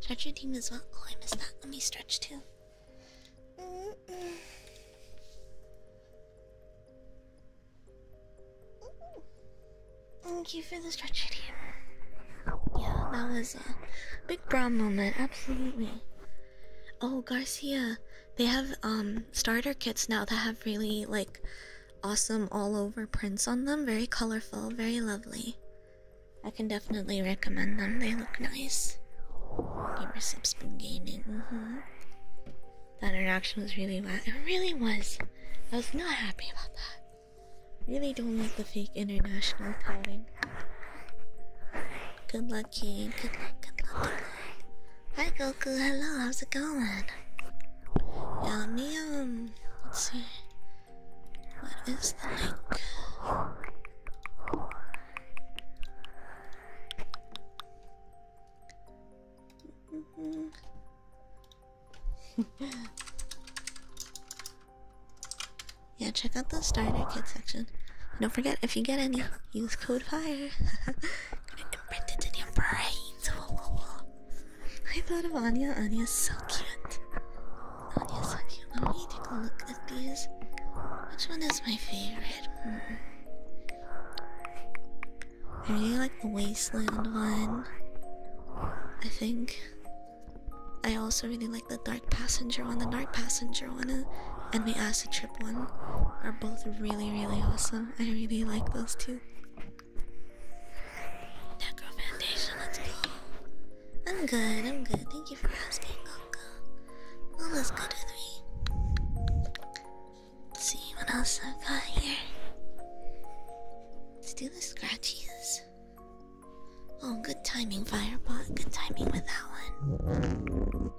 Stretch your team as well. Oh, I missed that. Let me stretch too. Thank you for the stretch video. Yeah, that was a big brown moment, absolutely. Oh, Garcia, they have um starter kits now that have really like awesome all over prints on them. Very colorful, very lovely. I can definitely recommend them. They look nice. Gamer Sips been gaming. Mm That interaction was really wild. It really was. I was not happy about that. Really don't like the fake international touting. Good luck, King. Good luck, good luck, good luck. Hi, Goku. Hello, how's it going? Yum, yum. Let's see. What is the link? Mm -hmm. yeah, check out the starter kit section. don't forget, if you get any, use code FIRE. going in your brains. I thought of Anya. Anya's so cute. Anya's so cute. Let me take a look at these. Which one is my favorite? Hmm. I really like the wasteland one. I think. I also really like the dark passenger one. The dark passenger one and the acid trip one are both really, really awesome. I really like those two. Necro Foundation, let's go. I'm good, I'm good. Thank you for asking, Gonka. Well, let's go to three. Let's see what else I've got here. Let's do the scratchies. Oh, good timing, Fireball. Good timing with that one.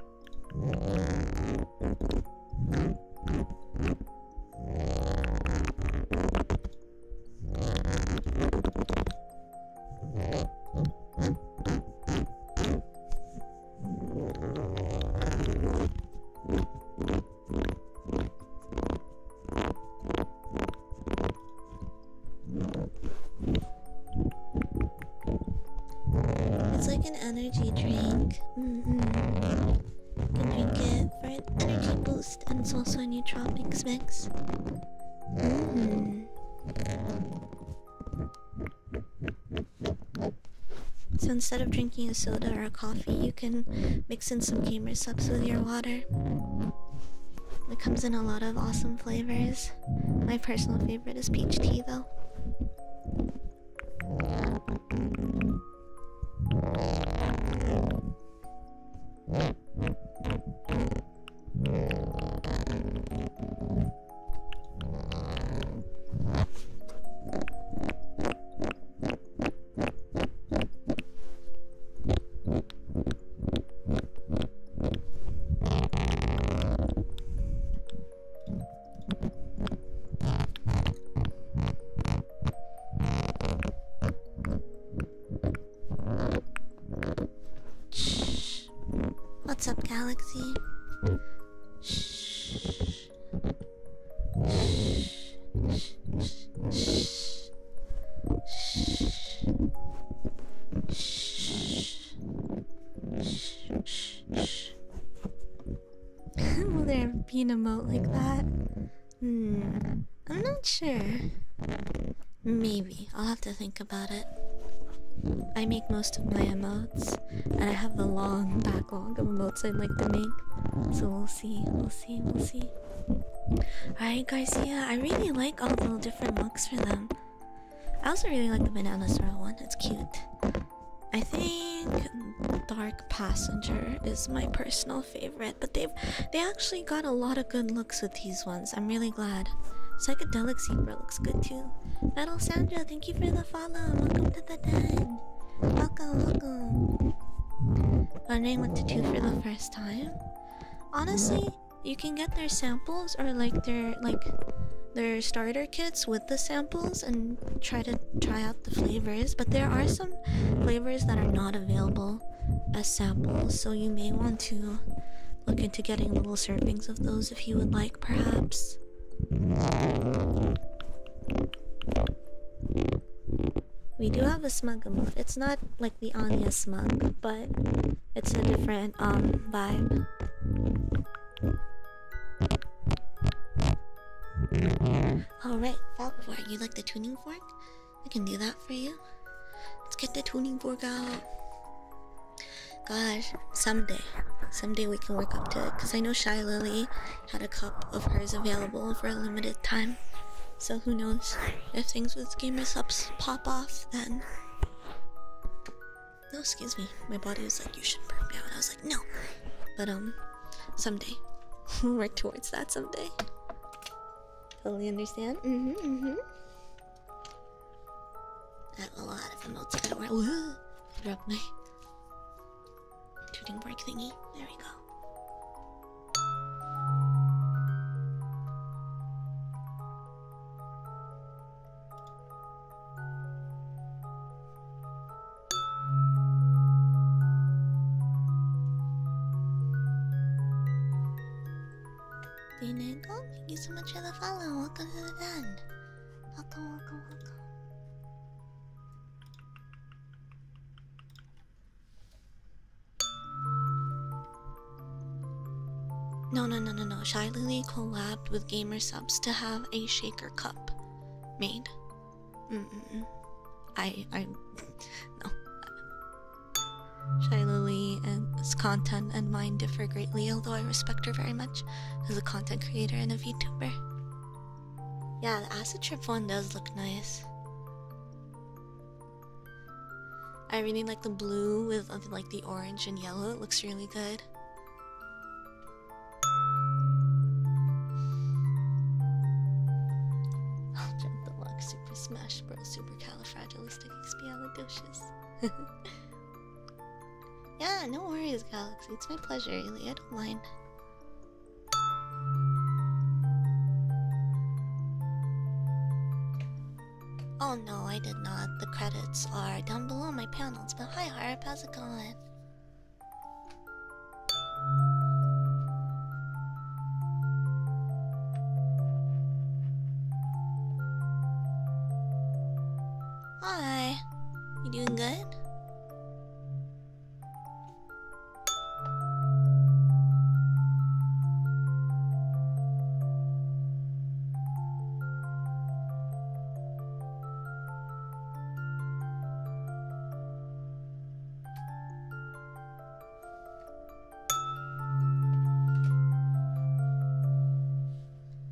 It's like an energy drink. -hmm. You can drink it for an energy boost, and it's also a nootropics mix. Mm so instead of drinking a soda or a coffee, you can mix in some gamer subs with your water. It comes in a lot of awesome flavors. My personal favorite is peach tea, though. What's up, Galaxy? Shh. Will there be an emote like that? Hmm, I'm not sure. Maybe. I'll have to think about it. I make most of my emotes, and I have a long backlog of emotes I'd like to make, so we'll see see, we'll see, we'll see. Alright, Garcia, I really like all the different looks for them. I also really like the banana swirl one, it's cute. I think Dark Passenger is my personal favorite, but they've they actually got a lot of good looks with these ones. I'm really glad. Psychedelic Zebra looks good too. Metal Sandra, thank you for the follow. Welcome to the den. Welcome, welcome wondering what to do for the first time. Honestly, you can get their samples or like their like their starter kits with the samples and try to try out the flavors, but there are some flavors that are not available as samples, so you may want to look into getting little servings of those if you would like perhaps. We do have a smug emote. It's not like the Anya smug, but it's a different um vibe. Alright, fork. You like the tuning fork? I can do that for you. Let's get the tuning fork out. Gosh, someday. Someday we can work up to it. Because I know Shy Lily had a cup of hers available for a limited time. So who knows if things with gamer subs pop off then. No, excuse me. My body was like, you should burn now, and I was like, no. But um, someday. we'll work towards that someday. Totally understand. Mm-hmm, mm-hmm. have a lot of emotes. drop my tooting break thingy. There we go. Dinagle, thank you so much for the follow. Welcome to the band. Welcome, welcome, welcome. No, no, no, no, no. Shy Lily collabed with Gamer Subs to have a shaker cup made. Mm -mm -mm. I, I, no. Shy Lily's content and mine differ greatly, although I respect her very much as a content creator and a VTuber. Yeah, the acid trip one does look nice. I really like the blue with like the orange and yellow. It looks really good. I'll jump the lock. Super Smash Bros. Super Califragilistic Califragilisticexpialidocious. yeah, no worries, Galaxy. It's my pleasure, Ilya. I don't mind. Oh no, I did not. The credits are down below my panels, but hi Harp, how's it going? Hi, you doing good?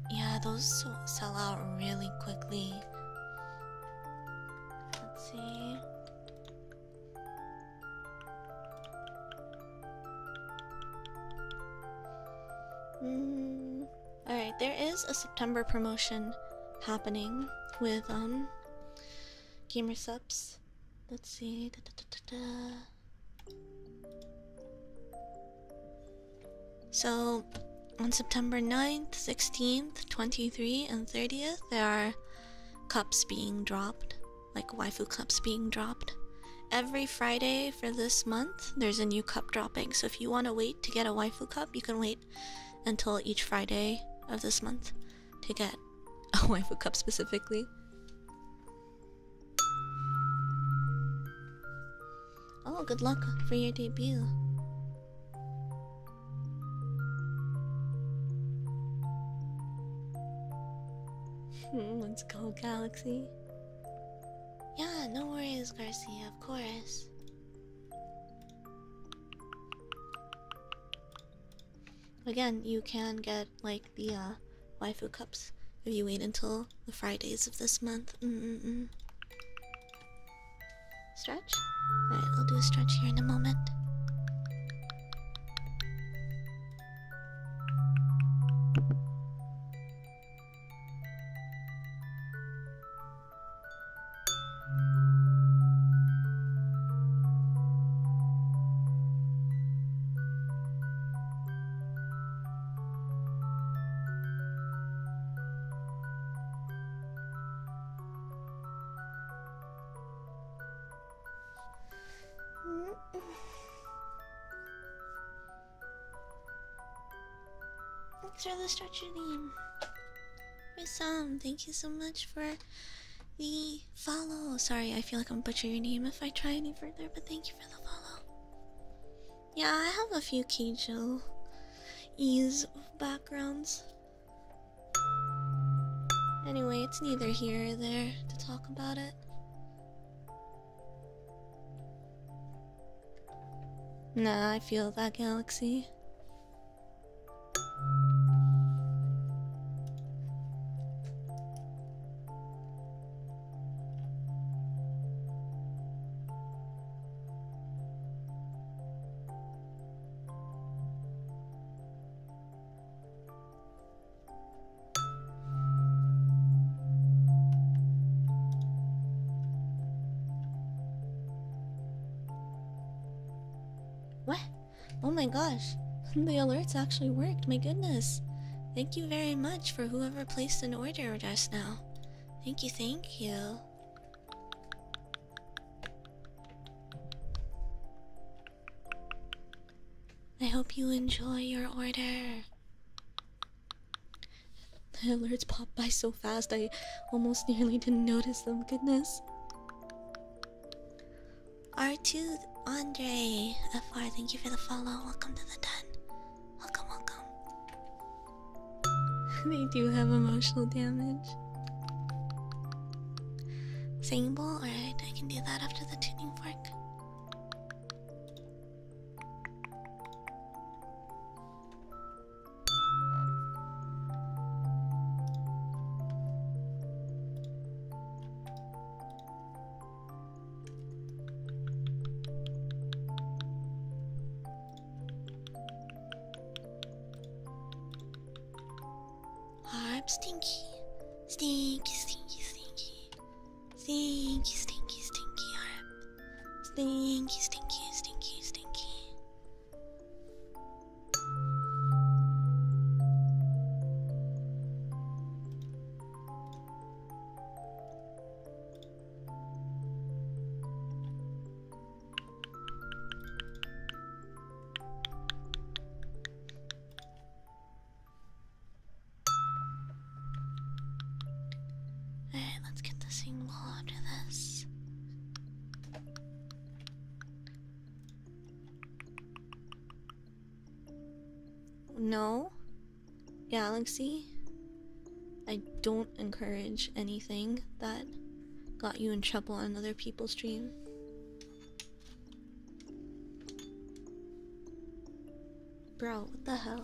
Yeah, those sell out really quickly. Let's see. Mm. Alright, there is a September promotion happening with um gamer subs. Let's see. So on September 9th, 16th, 23, and 30th, there are cups being dropped, like waifu cups being dropped. Every Friday for this month, there's a new cup dropping. So if you want to wait to get a waifu cup, you can wait until each Friday of this month to get a waifu cup specifically. Oh, good luck for your debut. Hmm, let's go, Galaxy. Yeah, no worries, Garcia, of course. Again, you can get like the uh, waifu cups if you wait until the Fridays of this month. Stretch? Alright, I'll do a stretch here in a moment. Let's Thanks for the stretcher name. Rizam, thank you so much for the follow. Sorry, I feel like I'm butchering your name if I try any further, but thank you for the follow. Yeah, I have a few Keijo ease backgrounds. Anyway, it's neither here or there to talk about it. Nah, I feel that galaxy. What? Oh my gosh, the alerts actually worked, my goodness. Thank you very much for whoever placed an order just now. Thank you, thank you. I hope you enjoy your order. The alerts popped by so fast I almost nearly didn't notice them. Goodness. R2 Andre FR, thank you for the follow. Welcome to the den. Welcome, welcome. they do have emotional damage. Singing bowl? Alright, I can do that after the tuning fork. I'm stinky. Stinky, stinky, stinky. Stinky, stinky, stinky. I'm stinky, stinky, stinky, stinky. Alright, let's get the single after this. No, Galaxy, I don't encourage anything that got you in trouble on other people's stream. Bro, what the hell?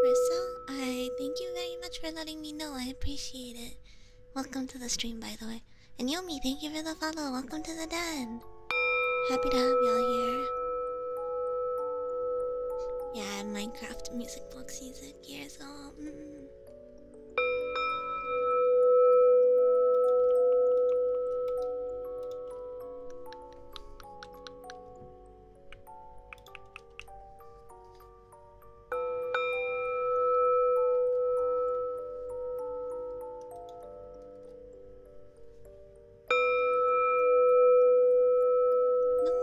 Marissa, I thank you very much for letting me know. I appreciate it. Welcome to the stream, by the way. And Yomi, thank you for the follow. Welcome to the den. Happy to have y'all here. Yeah, Minecraft music box music years old. Mm.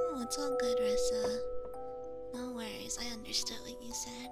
No, it's all good, Rissa. No worries, I understood what you said.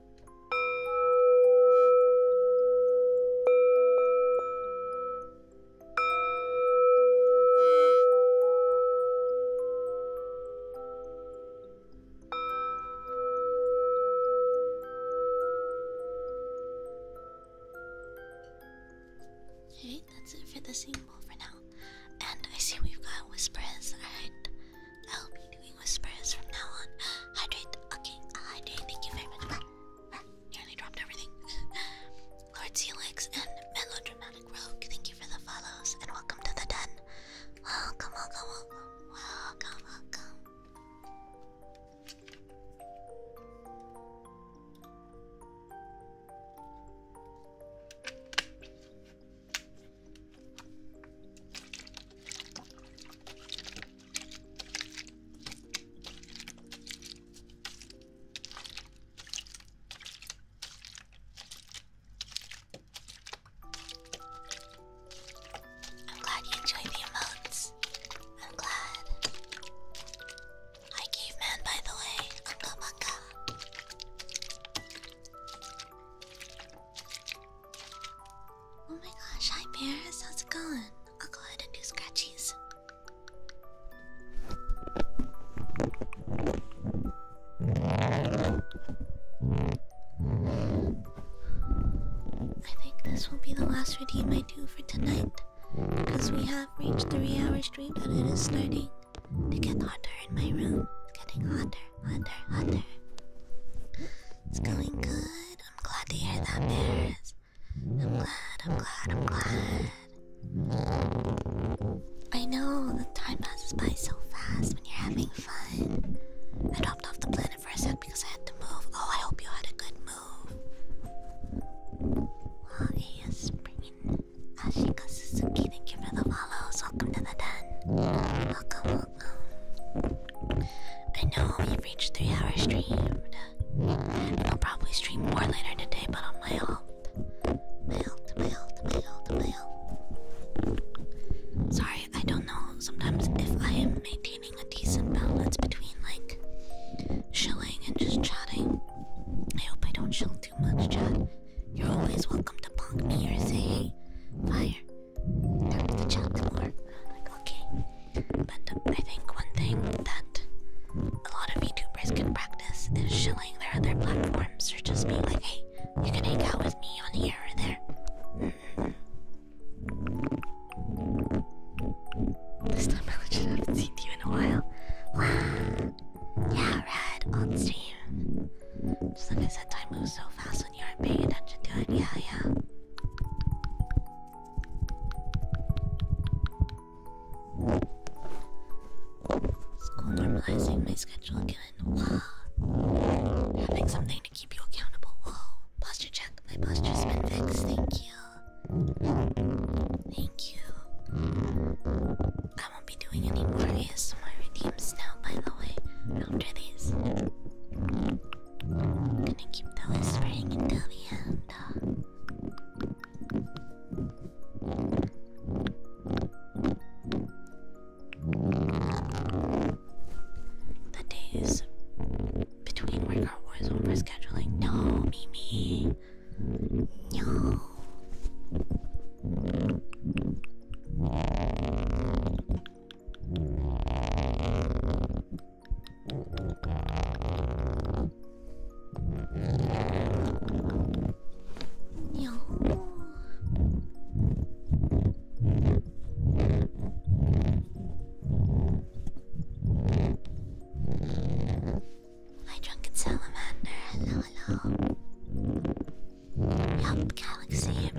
Alright, that's it for the symbol for now. And I see we've got whispers, alright? I'll be doing whispers from now on. Hydrate. Okay, uh, hydrate. Thank you very much. Nearly dropped everything. Lord Celix and Melodramatic Rogue, thank you for the follows and welcome to the den. Welcome, welcome, welcome, welcome, welcome. I'm glad you enjoyed the emotes. I'm glad. I Hi, caveman, by the way. Unga bunga. Oh my gosh, hi Paris, how's it going? I'll go ahead and do scratchies. I think this will be the last redeem I do for tonight because we have reached three hours stream and it is starting to get hotter in my room. It's getting hotter Hunter, Hunter. It's going good. I'm glad to hear that, Paris. I'm glad, I'm glad, I'm glad. I know the time passes by so fast when you're having fun. I dropped off the planet for a sec because I had to move. Oh, I hope you had a good move. Well, hey, Spring. Ashika Suzuki, thank you for the follows. Welcome to the den. Welcome, I know we've reached three hours streamed. I'll probably stream more later today, but on my alt. My alt, my alt, my alt, my Sorry, I don't know sometimes if I am maintaining a decent balance between like chilling and just chatting. I hope I don't chill too much, chat. You're always welcome to punk me or say, fire to chat more. Like, okay. But I think one thing that a lot of YouTubers can practice is shilling their other platforms or just being like, hey, you can hang out with me on here or there. This time I legit haven't seen you in a while. Wow. Yeah, Red, on stream. Just like I said, time moves so fast you aren't paying attention to it. Yeah, yeah. normalizing my schedule again. Wow. Having something to keep you accountable. Whoa. Posture check. My posture's been fixed. Thank you. Thank you. I won't be doing any more ASMR redeems now, by the way, after these. I'm gonna keep the whispering until the end. The days between workout wars over scheduling. No, Mimi. No. 鸟窝。Hi, drunken salamander. Hello, hello. Yup, Galaxy.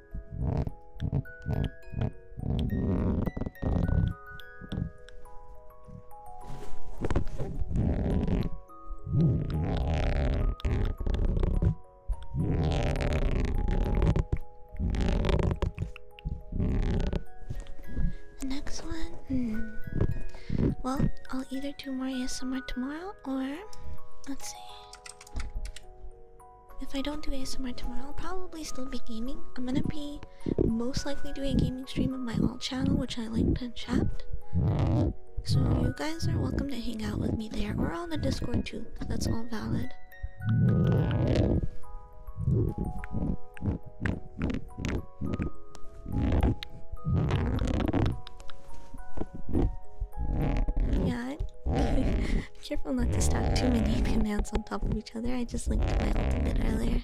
The next one, hmm. Well, I'll either do more ASMR tomorrow or let's see. If I don't do ASMR tomorrow, I'll probably still be gaming. I'm gonna be most likely doing a gaming stream on my old channel, which I linked to chat. So you guys are welcome to hang out with me there or on the Discord too. That's all valid. Yeah. Careful not to stack too many commands on top of each other. I just linked my ultimate earlier.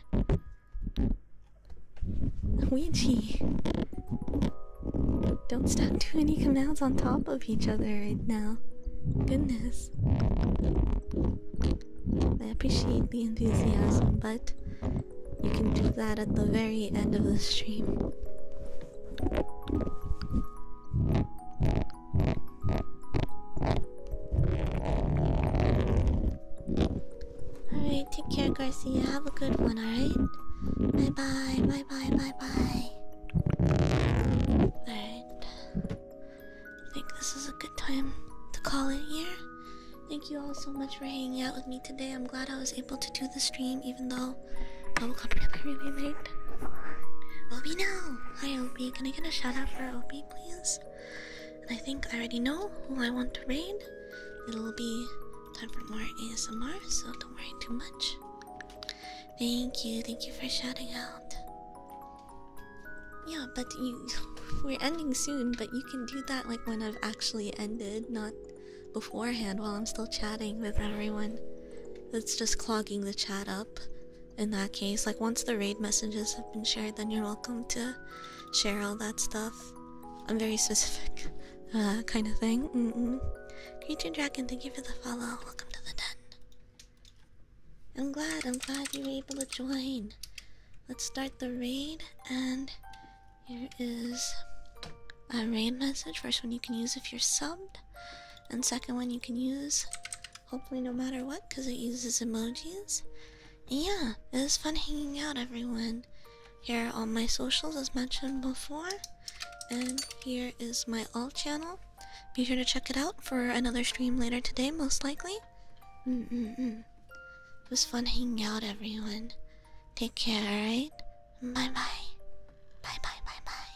Luigi! Don't stack too many commands on top of each other right now. Goodness. I appreciate the enthusiasm, but you can do that at the very end of the stream. Alright, take care, Garcia. Have a good one, alright? Bye bye, bye bye, bye bye. Alright. I think this is a good time to call it here. Thank you all so much for hanging out with me today. I'm glad I was able to do the stream, even though I woke up really, really late. Hi, Opie. Can I get a shout out for Opie, please? And I think I already know who I want to raid. It'll be time for more ASMR, so don't worry too much. Thank you, thank you for shouting out. Yeah, but you. We're ending soon, but you can do that like when I've actually ended, not beforehand while I'm still chatting with everyone. That's just clogging the chat up in that case. Like, once the raid messages have been shared, then you're welcome to share all that stuff. I'm very specific, uh, kind of thing. Mm -mm. Creature Dragon, thank you for the follow. Welcome to the den. I'm glad, I'm glad you were able to join. Let's start the raid, and here is a raid message. First one you can use if you're subbed. And second one you can use hopefully no matter what because it uses emojis. yeah, it was fun hanging out everyone. Here are all my socials as mentioned before. And here is my all channel. Be sure to check it out for another stream later today, most likely. Mm mm mm. It was fun hanging out, everyone. Take care, alright? Bye bye. Bye bye bye bye.